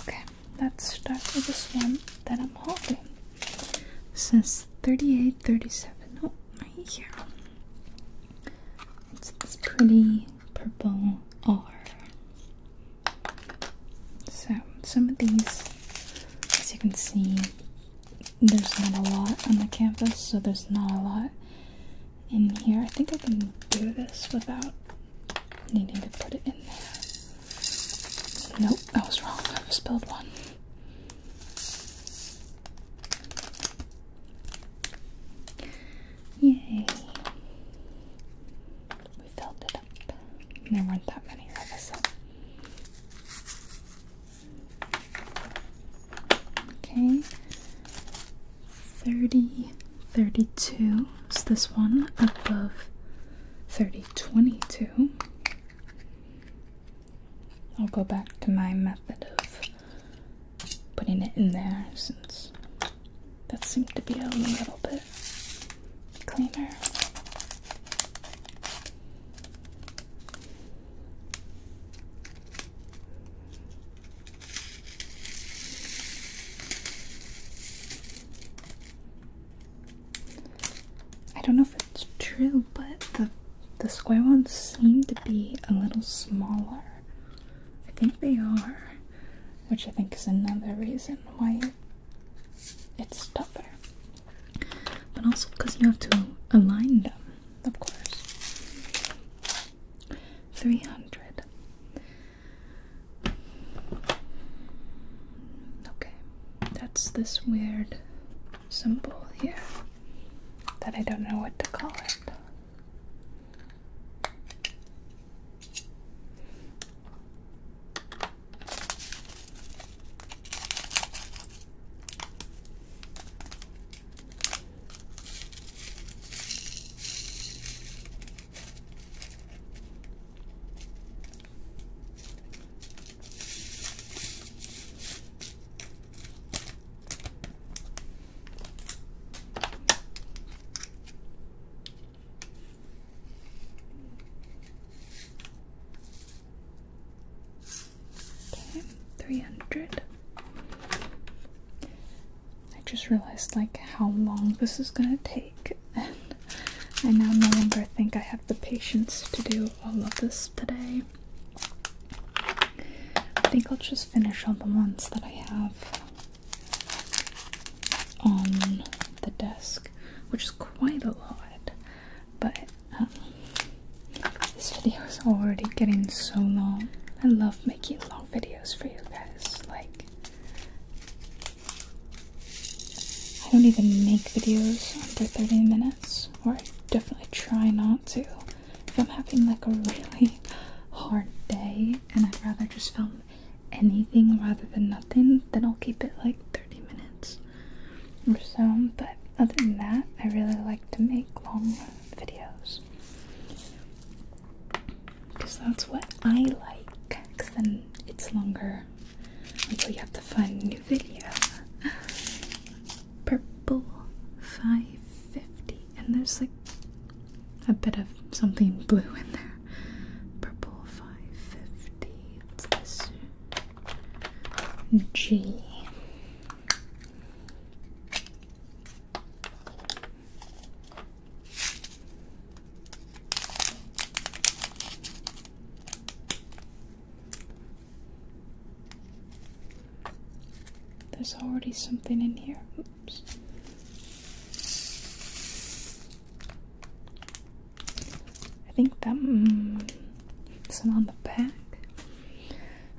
Okay, let's start with this one that I'm holding. It says 3837. No, right here. It's this pretty purple R. So, some of these, as you can see, there's not a lot on the canvas, so there's not a lot in here. I think I can do this without needing to put it in there. Nope, I was wrong. I spilled one. Yay. We filled it up. There weren't that many of us. Okay. Thirty 32 is this one above 3022. I'll go back to my method of putting it in there since that seemed to be a little bit cleaner. I don't know if it's true, but the the square ones seem to be a little smaller. I think they are, which I think is another reason why it's tougher. But also because you have to align them, of course. 300. Okay, that's this weird symbol here that I don't know what to call it. Okay, three hundred. I just realized like how long this is gonna take and I now no longer think I have the patience to do all of this today. I think I'll just finish all the ones that I have on the desk, which is quite a lot, but um, this video is already getting so long. I love making long videos for you guys. Like, I don't even make videos under 30 minutes, or I definitely try not to. If I'm having like a really hard day and I'd rather just film anything rather than nothing, then I'll keep it like 30 minutes or so. But other than that, I really like to make long videos because that's what I like. Because then it's longer until you have to find a new video. Purple 550, and there's like a bit of something blue in there. Purple 550. It's this G. There's already something in here. Oops. I think that mm, it's on the back.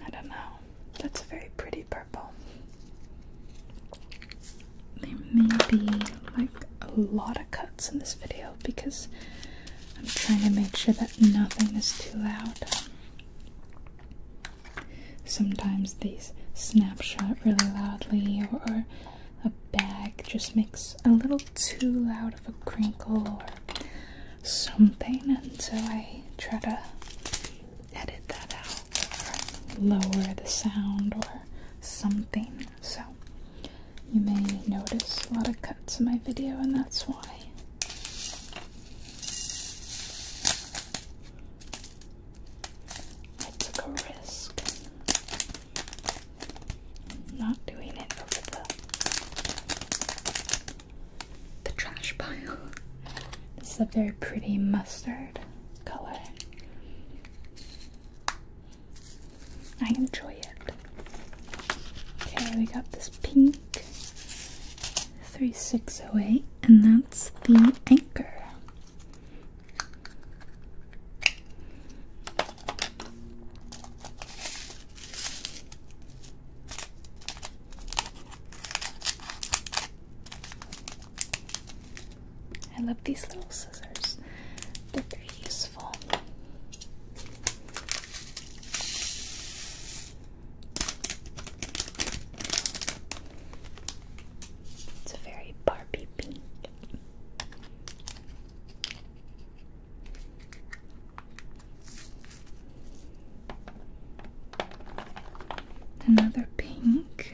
I don't know. That's a very pretty purple there may be like a lot of cuts in this video because I'm trying to make sure that nothing is too loud. Sometimes these snapshot really loudly, or, or a bag just makes a little too loud of a crinkle or something, and so I try to edit that out or lower the sound or something. So, you may notice a lot of cuts in my video, and that's why. I took a risk not doing it over the, the trash pile. This is a very pretty mustard color. I enjoy it. Okay, we got this pink 3608, and that's the anchor. I love these little scissors, they're very useful. It's a very Barbie pink. Another pink.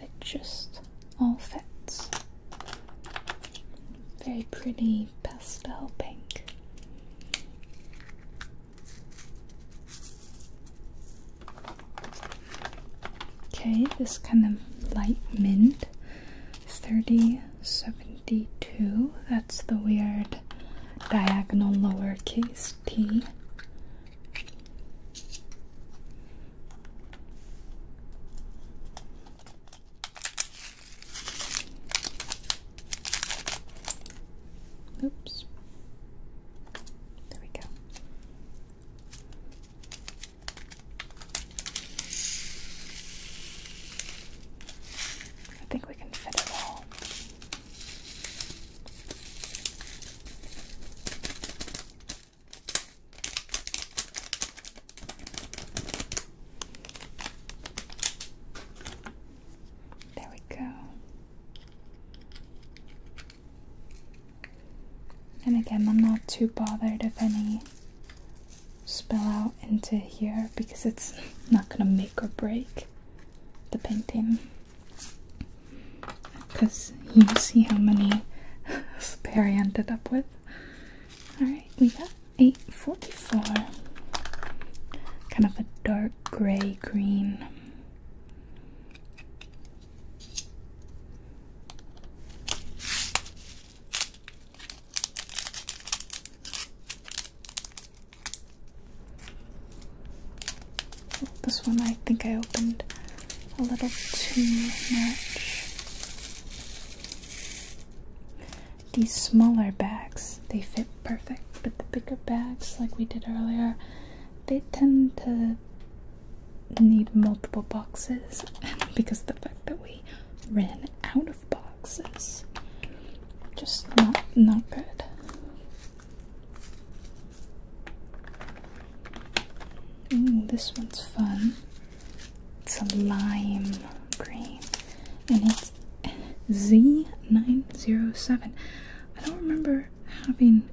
it just all fits. Very pretty pastel pink. Okay, this kind of light mint, 3072. That's the weird diagonal lowercase is Oops. There we go. I think we can fit it all. There we go. And again, I'm not too bothered if any spill out into here because it's <laughs> not going to make or break the painting. Because you see how many pair I ended up with. Alright, we got 844. Kind of a dark gray green. This one I think I opened a little too much. These smaller bags, they fit perfect, but the bigger bags, like we did earlier, they tend to need multiple boxes <laughs> because the fact that we ran out of boxes. Just not not good. Ooh, mm, this one's fun. It's a lime green. And it's Z907. I don't remember having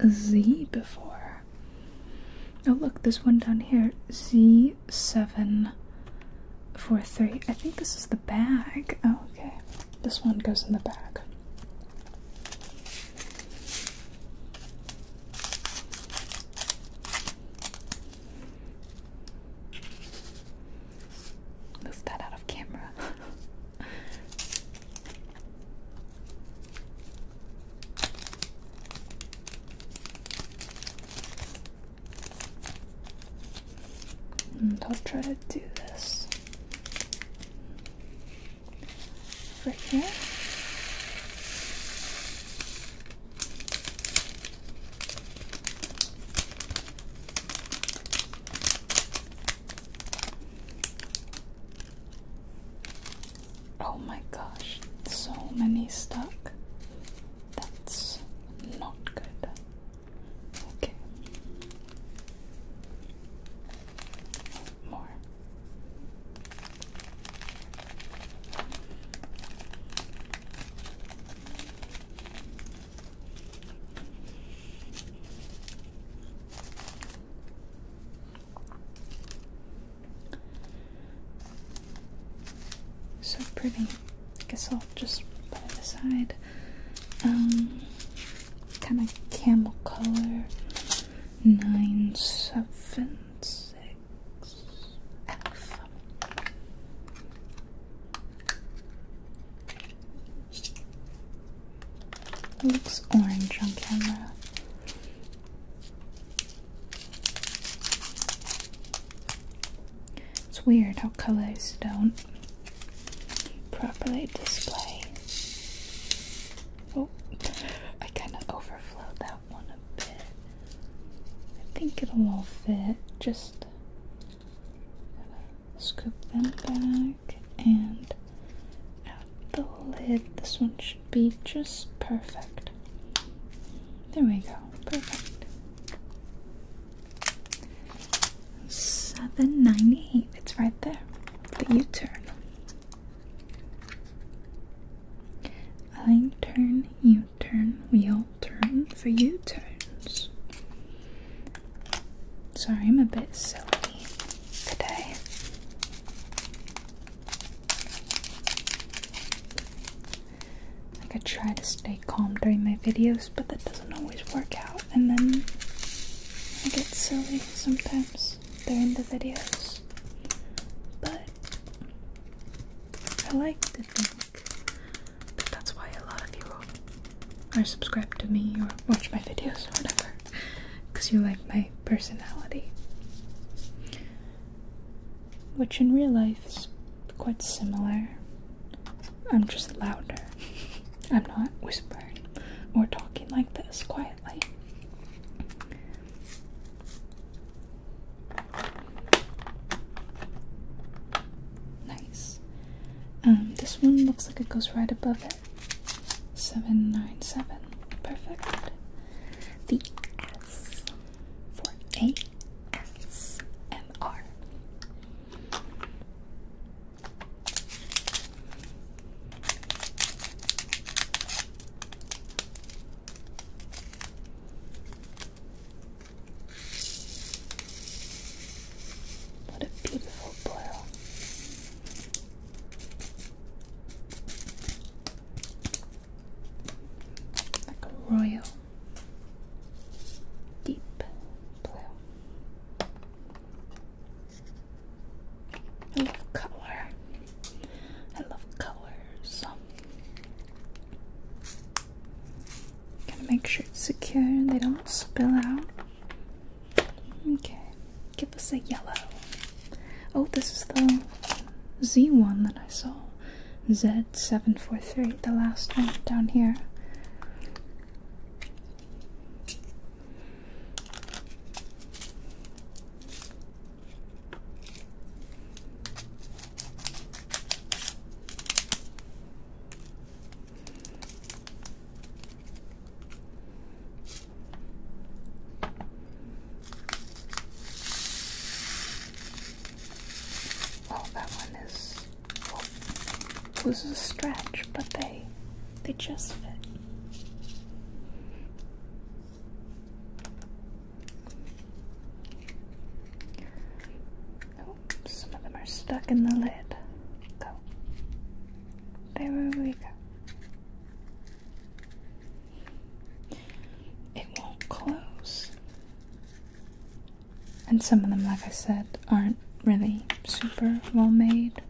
a Z before. Oh look, this one down here. Z743. I think this is the bag. Oh, okay. This one goes in the bag. Move that out of camera. I'll <laughs> hmm, try to do this Right here. Oh my gosh, so many stuck. That's not good. Okay. So pretty. I guess I'll just put it aside. Um, kind of camel color. Nine seven six looks orange on camera. It's weird how colors don't properly display. Oh, I kind of overflowed that one a bit. I think it'll all fit. Just scoop them back and out the lid. This one should be just perfect. There we go. Perfect. 798. It's right there. The U turn. I turn, U turn, wheel turn for U turns. Sorry, I'm a bit silly today. Like I try to stay calm during my videos, but that doesn't doesn't always work out, and then I get silly sometimes during the videos. But I like to think that that's why a lot of you are subscribed to me or watch my videos or whatever, because you like my personality. Which in real life is quite similar. I'm just louder. <laughs> I'm not whispering stubborn or talking like this quietly. Nice. Um, this one looks like it goes right above it. 797. Perfect. The S for A S M R. What a beautiful boil. Like a royal deep blue love color. I love colors. Gotta make sure it's secure and they don't spill out. Okay, give us a yellow. Oh, this is the Z one that I saw. Z743, the last one down here. Oh, that one is. this is a stretch, but they they just fit some of them are stuck in the lid. Go. There we go. It won't close. And some of them, like I said, aren't really super well made.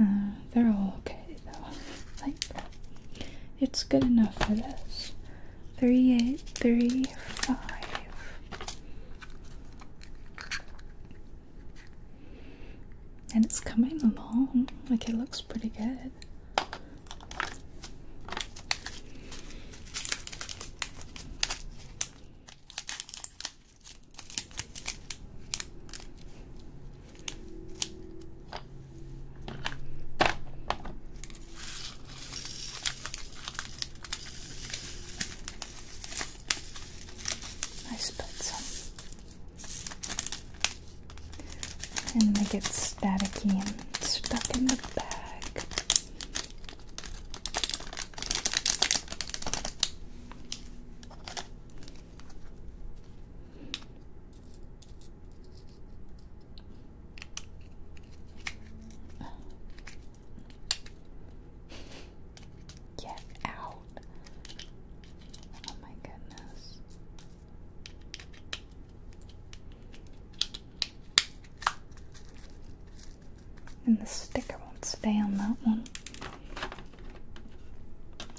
Uh, they're all okay though. Like, it's good enough for this. 38, 35. And it's coming along. Like, it looks pretty good. I Nice some And they it staticky and stuck in the bag. Get out. Oh, my goodness. And the sticker won't stay on that one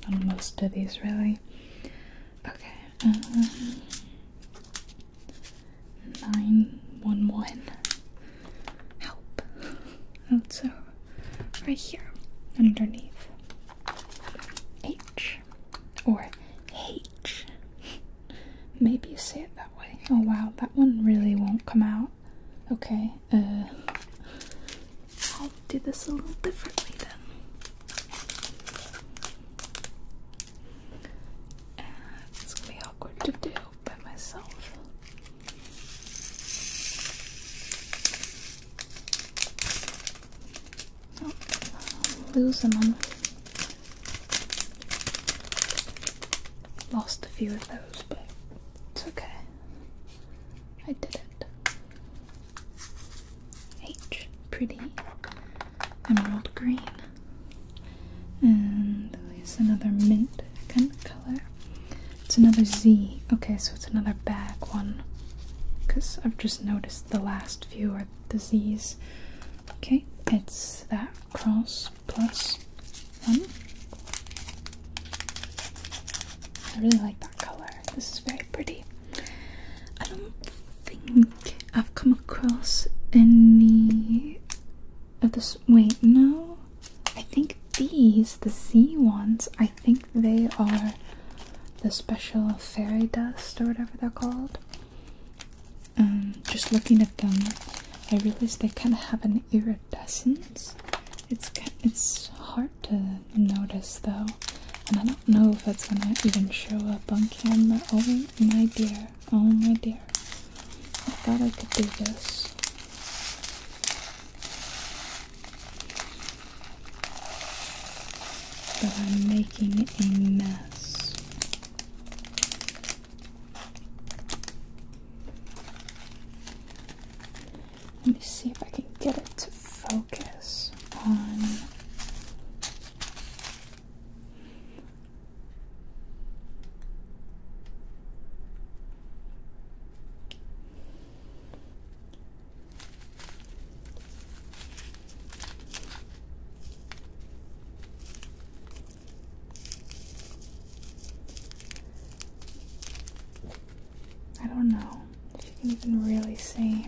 on most of these, really. Okay, uh, 911. Help. Oh, so right here, underneath H or H. Maybe you say it that way. Oh wow, that one really won't come out. Okay, uh, I'll do this a little differently then. it's gonna be awkward to do by myself. losing them. Lost a few of those, but it's okay. I did it. H, pretty emerald green. And here's another mint kind of color. It's another Z. Okay, so it's another bag one. Because I've just noticed the last few are the Z's. Okay, it's that cross plus one. I really like that color. This is very pretty. I don't think I've come across any of this. Wait, no. I think these, the Z ones, I think they are the special fairy dust or whatever they're called. Um, just looking at them, I realized they kind of have an iridescence. It's it's hard to notice though, and I don't know if it's gonna even show up on camera. Oh my dear, oh my dear. I thought I could do this. But I'm making a mess. Let me see if I can get it to focus on. I don't know if you can even really see.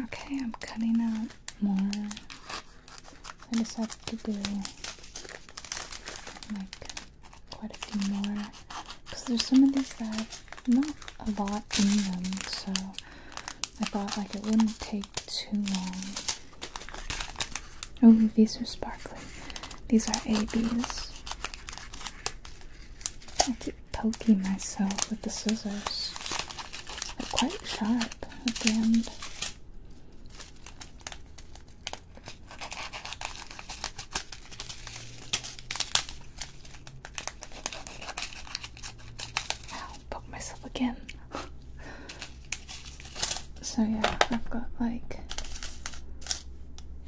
Okay, I'm cutting out more. I decided to do like quite a few more because there's some of these that not a lot in them, so I thought like it wouldn't take too long Oh, these are sparkly. These are ABs. I keep poking myself with the scissors. They're quite sharp at the end. I'll poke myself again. <laughs> So yeah, I've got like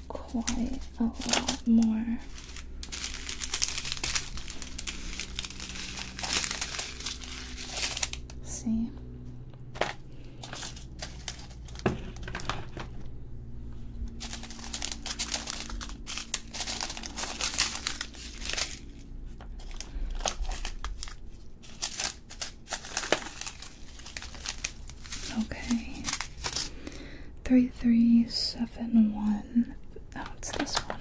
quite a lot more. see. Okay. Three three seven one. That's oh, this one.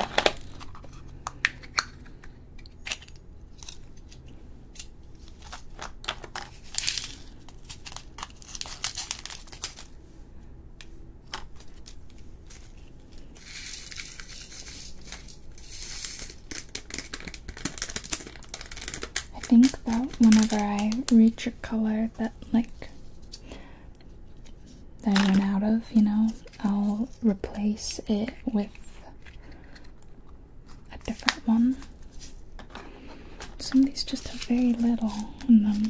I think that whenever I reach a color that like that I went out of, you know, I'll replace it with a different one. Some of these just have very little in them.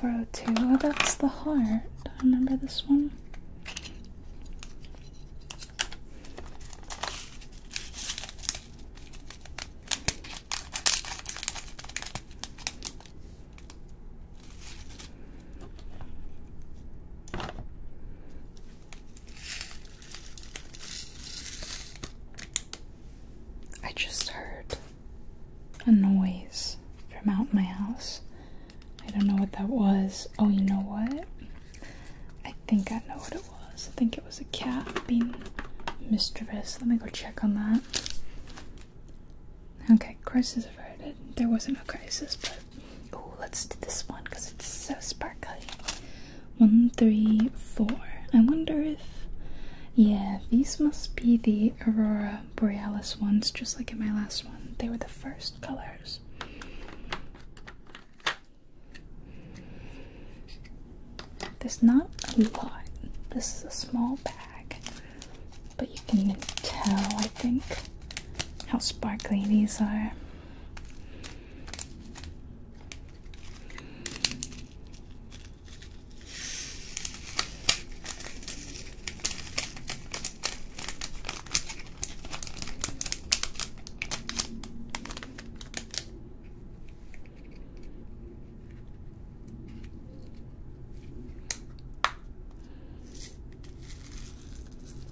402. Oh, that's the heart. Remember this one? I just heard a noise from out my house. I don't know what that was. Oh, you know what? I think I know what it was. I think it was a cat being mischievous. Let me go check on that. Okay, crisis averted. There wasn't a crisis, but oh, let's do this one because it's so sparkly. One, three, four. I wonder if, yeah, these must be the Aurora Borealis ones, just like in my last one. They were the first colors. There's not a lot. This is a small bag, but you can tell, I think, how sparkly these are.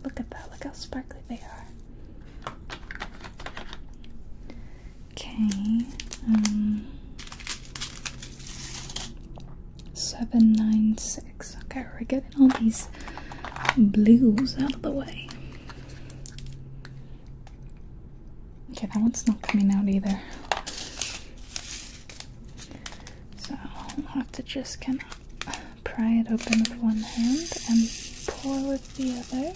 Look at that, look how sparkly they are. Okay, um, 796. Okay, we're getting all these blues out of the way. Okay, that one's not coming out either. So I'll have to just kind of pry it open with one hand and pour with the other.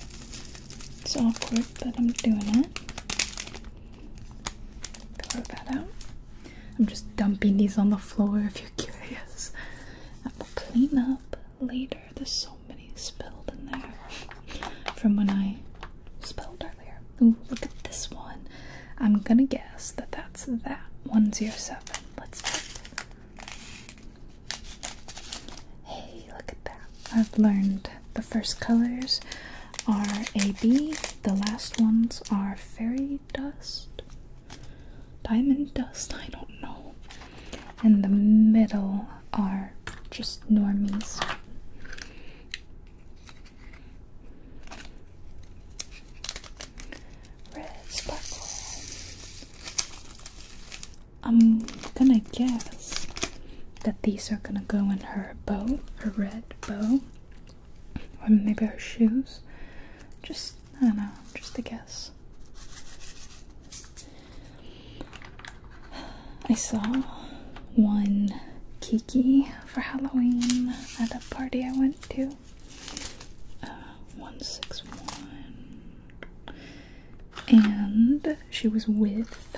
It's awkward, but I'm doing it. Throw that out. I'm just dumping these on the floor if you're <laughs> curious. I will clean up later. There's so many spilled in there from when I spilled earlier. Ooh, look at this one. I'm gonna guess that that's that 107. Let's check. Hey, look at that. I've learned the first colors are AB, the last ones are fairy dust, diamond dust, I don't know and the middle are just normies. Red sparkle. I'm gonna guess that these are gonna go in her bow, her red bow, or maybe her shoes. Just, I don't know, just a guess. I saw one Kiki for Halloween at a party I went to. 161. Uh, and she was with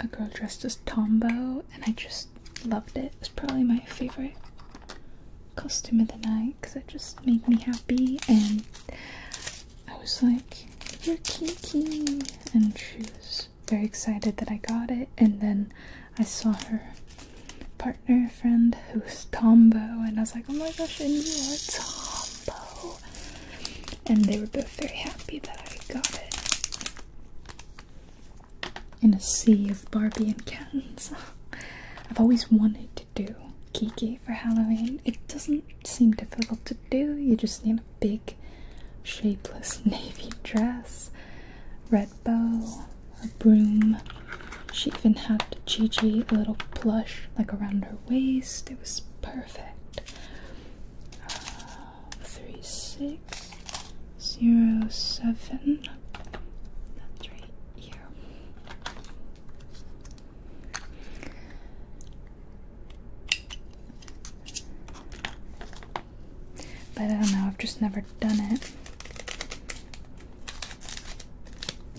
a girl dressed as Tombow, and I just loved it. It's probably my favorite costume of the night because it just made me happy and I was like, You're Kiki! And she was very excited that I got it. And then I saw her partner friend who's Tombo, and I was like, Oh my gosh, and you are Tombo! And they were both very happy that I got it. In a sea of Barbie and Kens. <laughs> I've always wanted do Kiki for Halloween. It doesn't seem difficult to do, you just need a big shapeless <laughs> navy dress, red bow, a broom. She even had Gigi a little plush like around her waist. It was perfect. Uh, three six zero seven. That's right here. But I don't know, I've just never done it.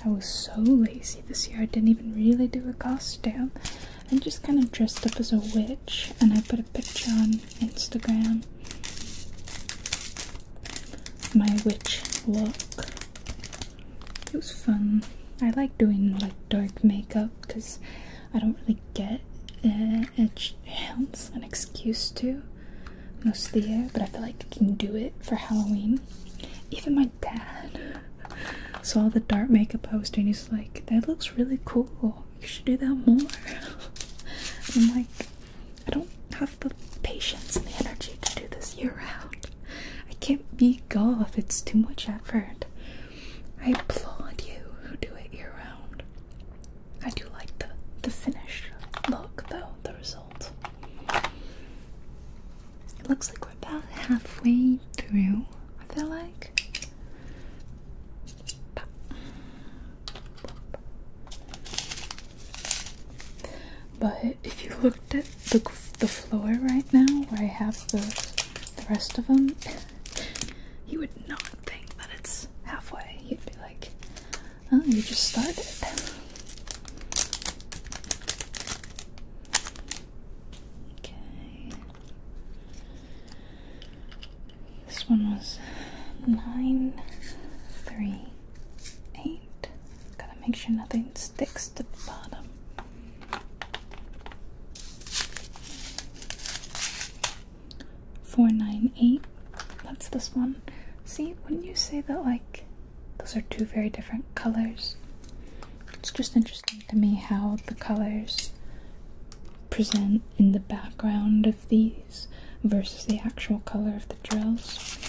I was so lazy this year, I didn't even really do a costume. I am just kind of dressed up as a witch and I put a picture on Instagram. My witch look. It was fun. I like doing like dark makeup because I don't really get uh, it an excuse to most the year, but I feel like I can do it for Halloween. Even my dad <laughs> saw the dark makeup I was doing. He's like, "That looks really cool. You should do that more." <laughs> I'm like, I don't have the patience and the energy to do this year round. I can't be goth, it's too much effort. I applaud you who do it year round. I do like the the finish look though, the result. It looks like we're about halfway through, I feel like. But if you looked at the, the floor right now, where I have the, the rest of them, <laughs> you would not think that it's halfway. You'd be like, oh, you just started. Okay. This one was nine, three, eight. Gotta make sure nothing sticks to the bottom. 498. That's this one. See, wouldn't you say that, like, those are two very different colors? It's just interesting to me how the colors present in the background of these versus the actual color of the drills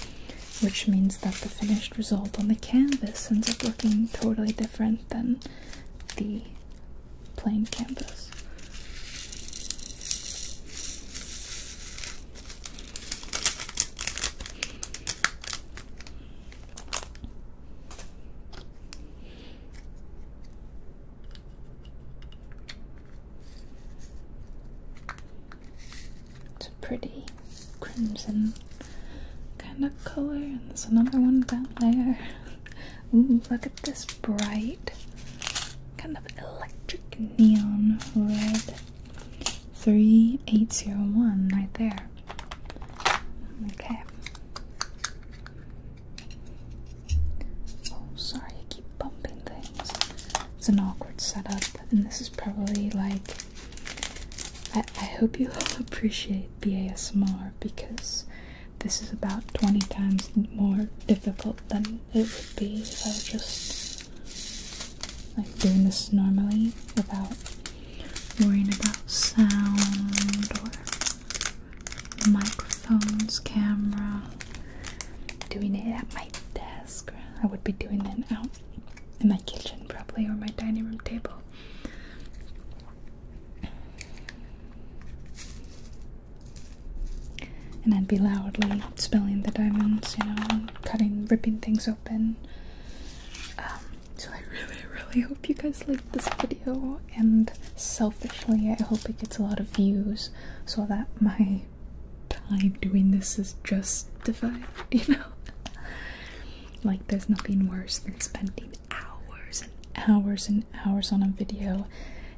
which means that the finished result on the canvas ends up looking totally different than the plain canvas. It's a pretty crimson kind of color, and there's another one down there. <laughs> Ooh, look at this bright kind of electric neon red 3801 right there. Okay. Oh, sorry, I keep bumping things. It's an awkward setup, and this is probably like I, hope you all <laughs> appreciate the because this is about 20 times more difficult than it would be if I were just like doing this normally without worrying about sound or microphones, camera, doing it at my desk. I would be doing it outside in my kitchen probably or my dining room table. And I'd be loudly spelling the diamonds, you know, cutting, ripping things open. Um, so I really, really hope you guys liked this video, and selfishly, I hope it gets a lot of views so that my time doing this is justified, <laughs> you know? Like, there's nothing worse than spending hours and hours and hours on a video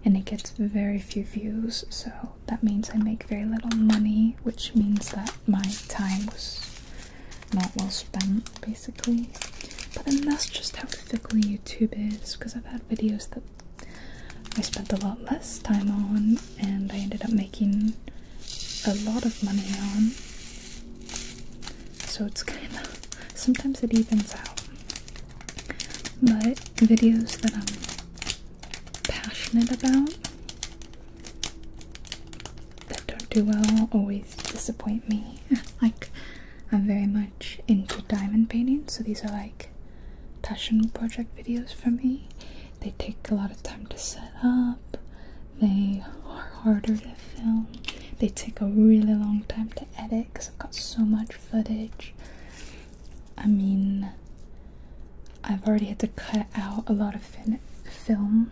and it gets very few views. So that means I make very little money, which means that my time was not well spent basically. But then that's just how fickle YouTube is because I've had videos that I spent a lot less time on and I ended up making a lot of money on. So it's kind of sometimes it evens out. But videos that I'm passionate about that don't do well always disappoint me. <laughs> like I'm very much into diamond painting, so these are like passion project videos for me. They take a lot of time to set up. They are harder to film. They take a really long time to edit because I've got so much footage. I mean, I've already had to cut out a lot of film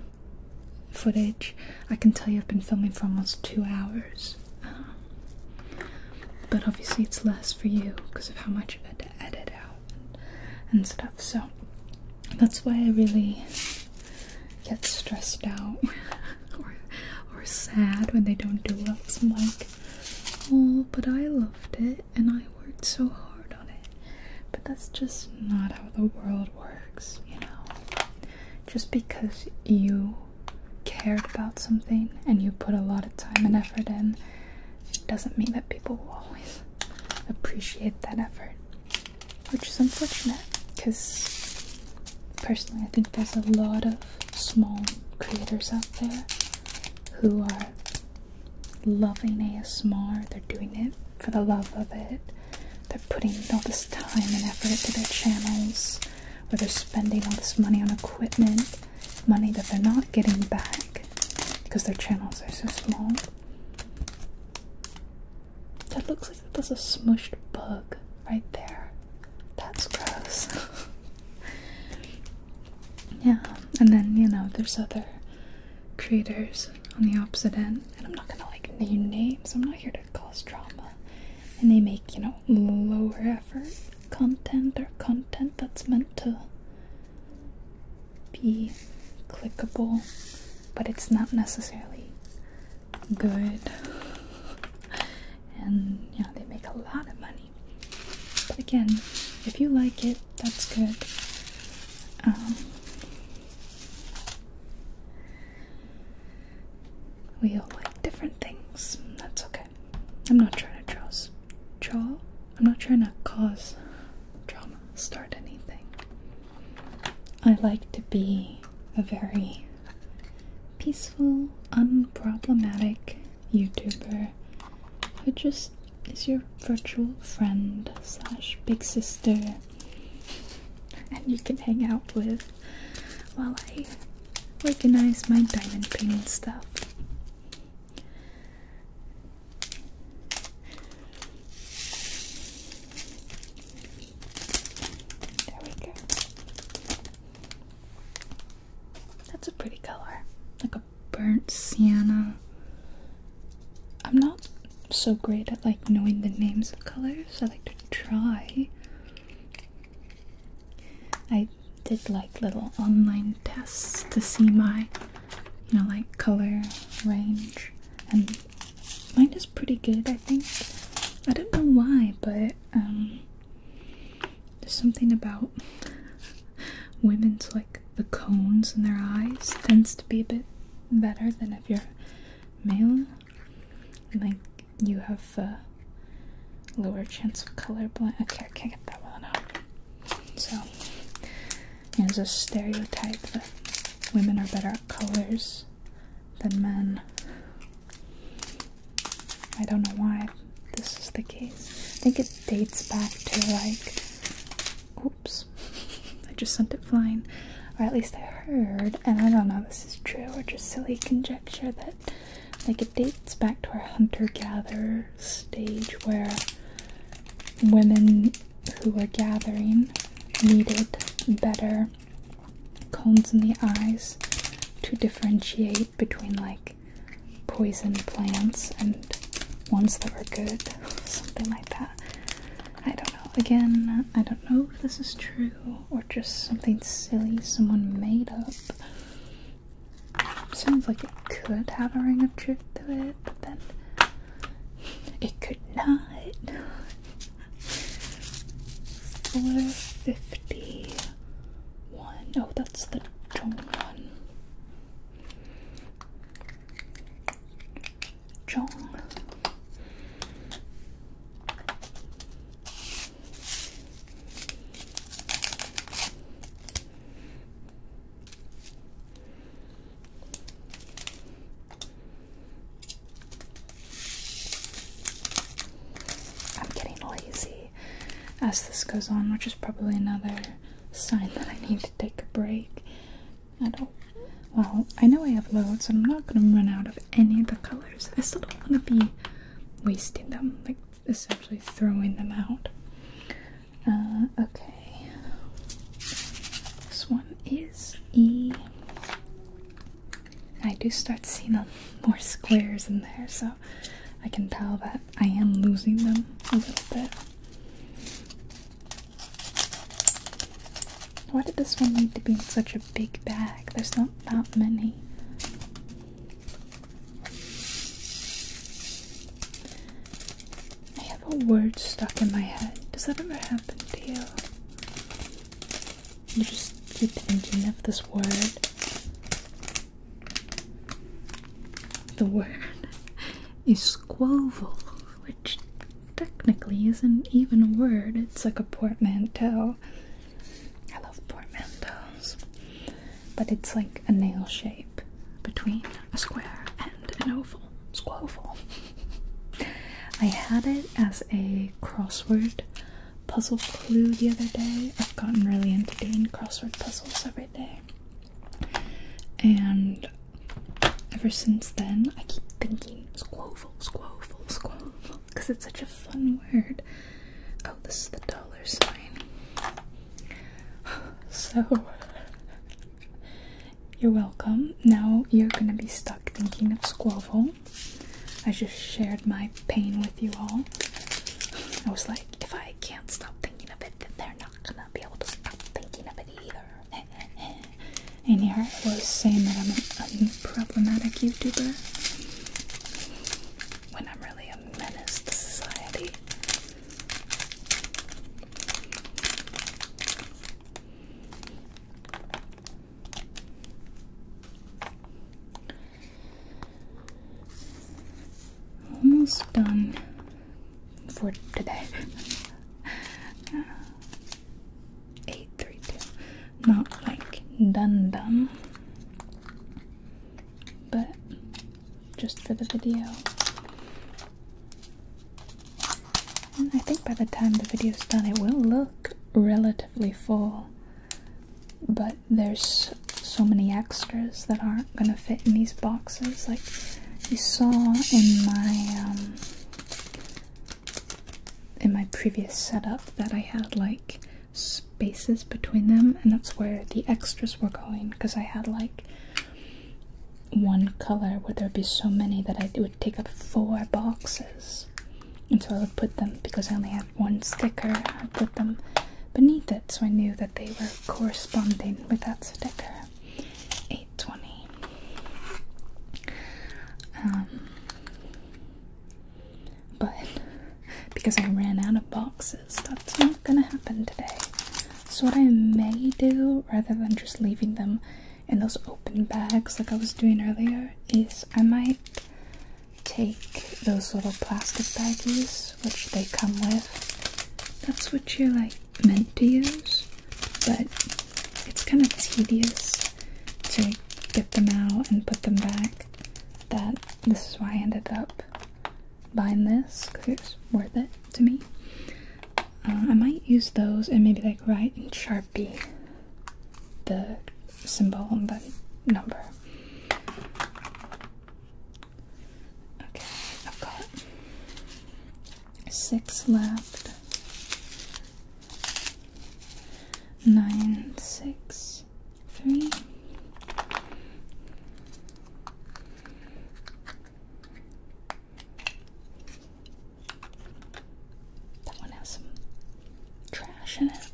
footage. I can tell you I've been filming for almost two hours. Um, but obviously, it's less for you because of how much you have had to edit out and stuff. So that's why I really get stressed out <laughs> or or sad when they don't do well. I'm like, oh, but I loved it and I worked so hard on it. But that's just not how the world works, you know. Just because you cared about something and you put a lot of time and effort in, doesn't mean that people will always appreciate that effort which is unfortunate because personally I think there's a lot of small creators out there who are loving ASMR, they're doing it for the love of it, they're putting all this time and effort into their channels, where they're spending all this money on equipment, money that they're not getting back because their channels are so small. That looks like there's a smushed bug right there. That's gross. <laughs> yeah, and then, you know, there's other creators on the opposite end, and I'm not gonna like name names, I'm not here to cause drama. And they make, you know, lower effort content or content that's meant to be clickable but it's not necessarily good. And you they make a lot of money. But again, if you like it, that's good. Um, we all like different things. That's okay. I'm not trying to draw, draw. I'm not trying to cause drama, start anything. I like to be a very peaceful, unproblematic YouTuber who just is your virtual friend slash big sister and you can hang out with while I organize my diamond painting stuff. There we go. That's a pretty color. Like a burnt sienna. I'm not so great at like knowing the names of colors. I like to try. I did like little online tests to see my you know like color range and mine is pretty good, I think. I don't know why, but um, there's something about women's like the cones in their eyes tends to be a bit better than if you're male. Like you have a lower chance of colorblind. Okay, I can't get that well enough. So there's a stereotype that women are better at colors than men. I don't know why this is the case. I think it dates back to like. Oops. <laughs> I just sent it flying. Or at least I heard, and I don't know if this is true or just silly conjecture, that like it dates back to our hunter gatherer stage where women who were gathering needed better cones in the eyes to differentiate between like poison plants and ones that were good, <laughs> something like that. I don't know. Again, I don't know if this is true or just something silly someone made up. Sounds like it could have a ring of truth to it, but then it could not. 451. Oh, that's the Jong one. Jong. I'm getting lazy as this goes on, which is probably another sign that I need to take a break. I don't. Well, I know I have loads, and I'm not gonna run out of any of the colors. I still don't want to be wasting them, like essentially throwing them out. Uh, okay. This one is E I do start seeing more squares in there, so I can tell that I am losing them a little bit. Why did this one need to be in such a big bag? There's not that many. I have a word stuck in my head. Does that ever happen to you? You just keep thinking of this word. The word <laughs> is squoval, which technically isn't even a word, it's like a portmanteau. I love portmanteaus. But it's like a nail shape between a square and an oval. Squoval. <laughs> I had it as a crossword puzzle clue the other day. I've gotten really into doing crossword puzzles every day. And ever since then, I keep thinking squoval, squoval, squoval, because it's such a fun word. Oh, this is the dollar sign. <sighs> So, you're welcome. Now you're gonna be stuck thinking of Squoval. I just shared my pain with you all. I was like, if I can't stop thinking of it, then they're not gonna be able to stop thinking of it either. <laughs> and here I was saying that I'm a problematic YouTuber when I'm really a menace to society. Almost done for today. Eight, three, two. Not like done, done, but just for the video. I think by the time the video is done, it will look relatively full, but there's so many extras that aren't going to fit in these boxes. Like you saw in my um, in my previous setup that I had like spaces between them, and that's where the extras were going because I had like one color where there'd be so many that I, it would take up four boxes and so I would put them because I only had one sticker. I put them beneath it so I knew that they were corresponding with that sticker. 820. Um, but because I ran out of boxes, that's not gonna happen today. So, what I may do rather than just leaving them in those open bags like I was doing earlier is I might take those little plastic baggies which they come with. That's what you're like meant to use, but it's kind of tedious to get them out and put them back. That this is why I ended up buying this because it's worth it to me. Uh, I might use those and maybe like write in Sharpie the symbol and the number. Okay, I've got six left. Nine, six, three. That one has some trash in it.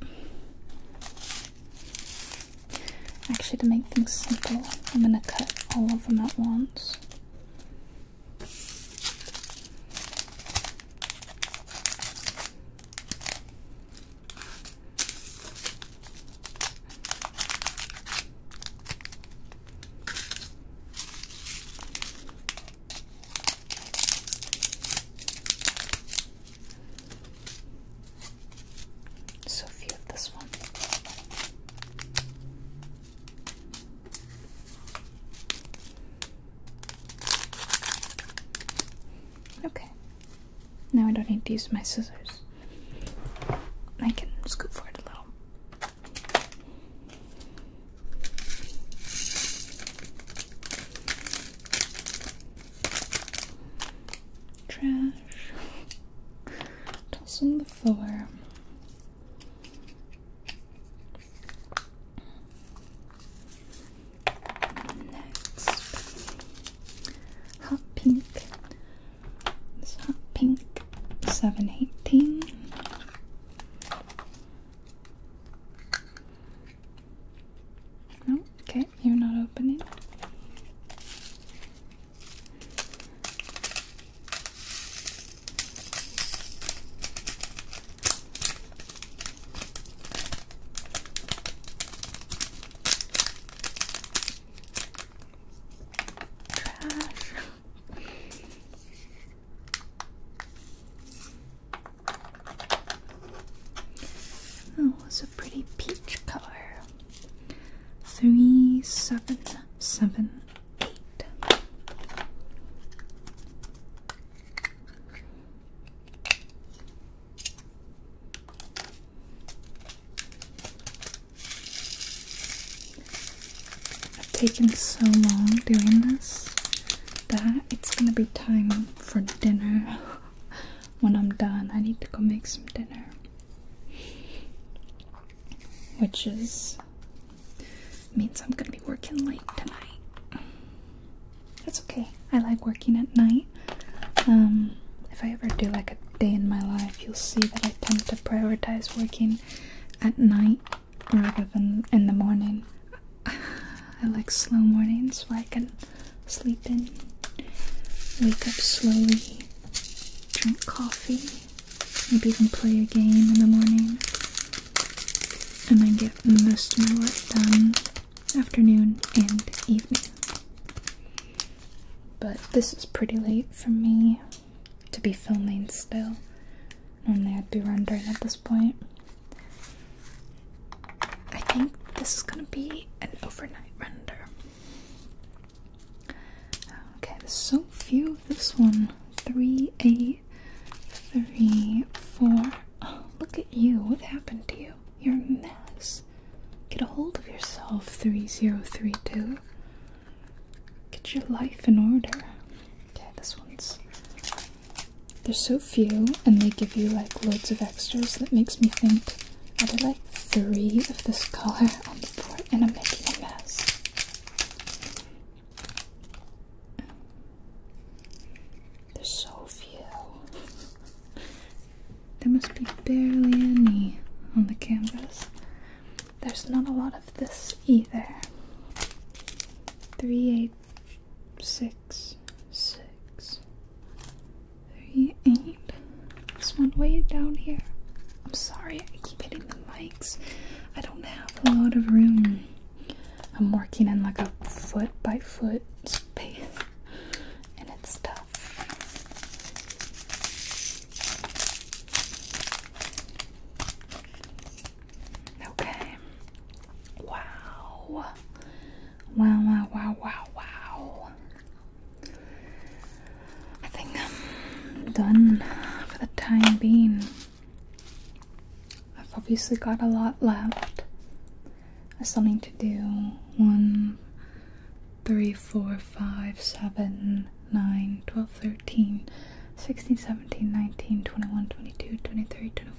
Actually, to make things simple, I'm going to cut all of them at once. So few of this one. Okay. Now I don't need to use my scissors. I can scoop for it a little. Trash. Toss on the floor. Next, hot pink. hot pink, seven eighteen. No? Okay, you're not opening. Trash. <laughs> Oh, was a pretty peach color. Three, seven, seven, eight. I've taken so long doing this that it's gonna be time for dinner when I'm done. I need to go make some dinner, which is means I'm gonna be working late tonight. That's okay. I like working at night. Um, if I ever do like a day in my life, you'll see that I tend to prioritize working at night rather than in the morning. I like slow mornings where I can sleep in, wake up slowly, drink coffee, maybe even play a game in the morning, and then get most of my work done afternoon and evening. But this is pretty late for me to be filming still. Normally I'd be rendering at this point. I think this is gonna be an overnight render. Okay, there's so few of this one. Oh, look at you. What happened to you? You're a mess. Get a hold of yourself, 3032. Get your life in order. Okay, this one's there's so few, and they give you like loads of extras that makes me think I there like three of this color <laughs> on the board, and I'm making a mess. There's so few. there must be barely any on the canvas. There's not a lot of this either. Three, eight, six six, six, three, eight. This one way down here. I'm sorry, I keep hitting the mics. I don't have a lot of room. I'm working in like a foot by foot space, and it's tough. Okay. Wow. Wow, wow, wow, wow, I think I'm done for the time being. I've obviously got a lot left. I still need to do one, three, four, five, seven, nine, twelve, thirteen, sixteen, seventeen, nineteen, twenty-one, twenty-two, twenty-three, twenty-four.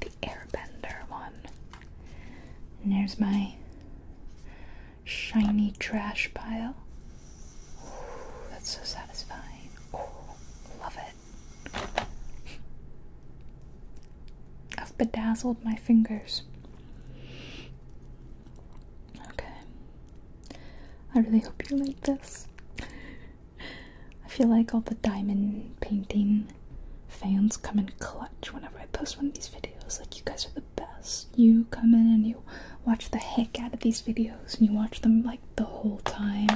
The Airbender one. And there's my shiny trash pile. that's so satisfying. love it. I've bedazzled my fingers. Okay. I really hope you like this. I feel like all the diamond painting fans come in clutch whenever I post one of these videos. Like, you guys are the best. You come in and you watch the heck out of these videos and you watch them like the whole time,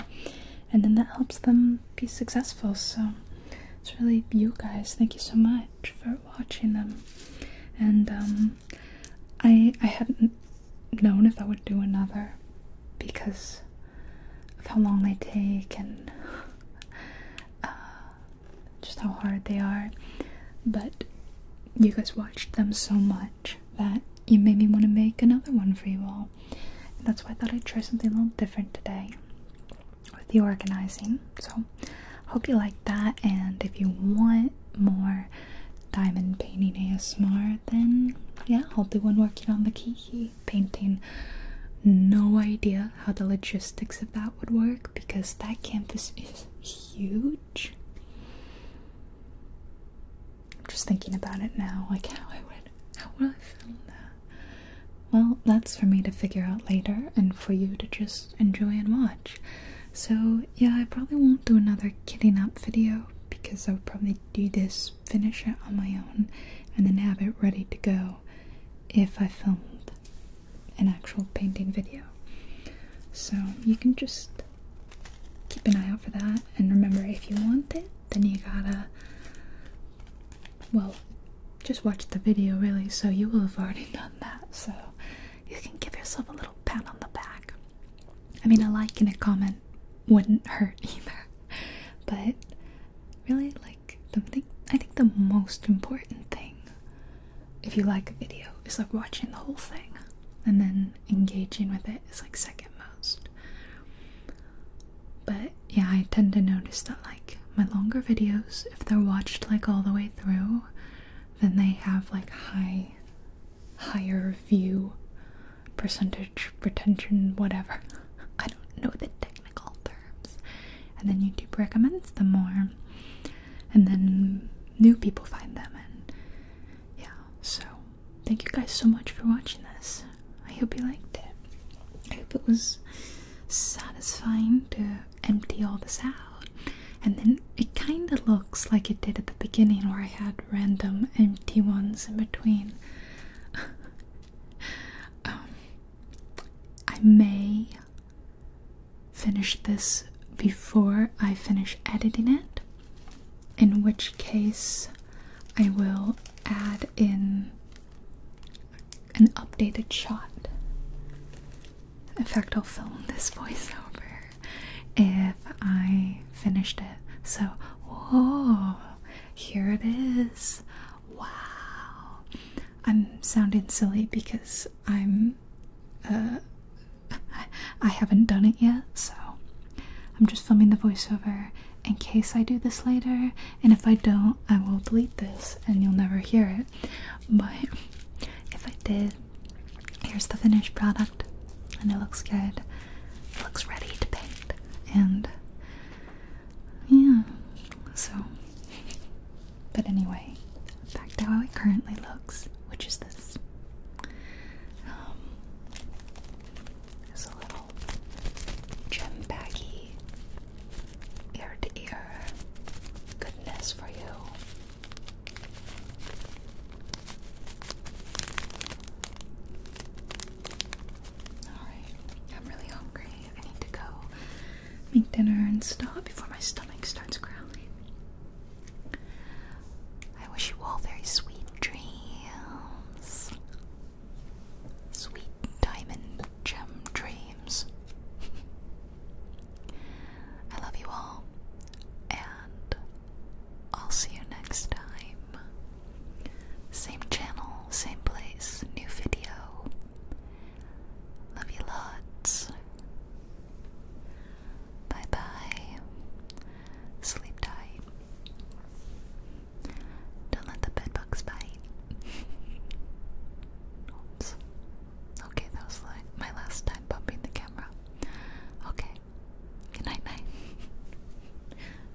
and then that helps them be successful. So, it's really you guys. Thank you so much for watching them. And, um, I, I had known if I would do another because of how long they take and <laughs> uh, just how hard they are. But you guys watched them so much that you made me want to make another one for you all. And that's why I thought I'd try something a little different today with the organizing. So, hope you like that. And if you want more diamond painting ASMR, then yeah, I'll do one working on the key painting. No idea how the logistics of that would work because that canvas is huge. I'm just thinking about it now, like how I would, how would I film that? Well, that's for me to figure out later and for you to just enjoy and watch. So yeah, I probably won't do another kitting up video because I'll probably do this finish it on my own and then have it ready to go if I filmed an actual painting video. So you can just keep an eye out for that and remember if you want it then you gotta well just watch the video really so you will have already <laughs> done that so you can give yourself a little pat on the back. I mean a like and a comment wouldn't hurt <laughs> either. But really, like the thing, I think the most important thing, if you like a video, is like watching the whole thing, and then engaging with it is like second most. But yeah, I tend to notice that like my longer videos, if they're watched like all the way through, then they have like high, higher view percentage retention, whatever. <laughs> I don't know the technical terms. And then YouTube recommends them more. And then new people find them. And yeah, so thank you guys so much for watching this. I hope you liked it. I hope it was satisfying to empty all this out. And then it kind of looks like it did at the beginning where I had random empty ones in between. <laughs> <laughs> Um, I may finish this before I finish editing it, in which case I will add in an updated shot. In fact, I'll film this <laughs> voiceover if I finished it. So, whoa, here it is. Wow. I'm sounding silly because I'm uh <laughs> I haven't done it yet, so I'm just filming the voiceover in case I do this later, and if I don't, I will delete this and you'll never hear it. But if I did, here's the finished product, and it looks good looks ready to paint. And yeah, so. But anyway, back to how it currently looks, which is this. Um, a little gem baggy ear to ear goodness for you. Alright, I'm really hungry. I need to go make dinner and stop before my stomach starts growling. I wish you all very sweet dreams. Sweet diamond gem dreams. I love you all, and I'll see you next time. Same channel, same place, new video. Love you lots. Bye bye. Sleep tight. Don't let the bedbugs bite. Okay, that was my last time bumping the camera. Okay. Good night, night. <laughs>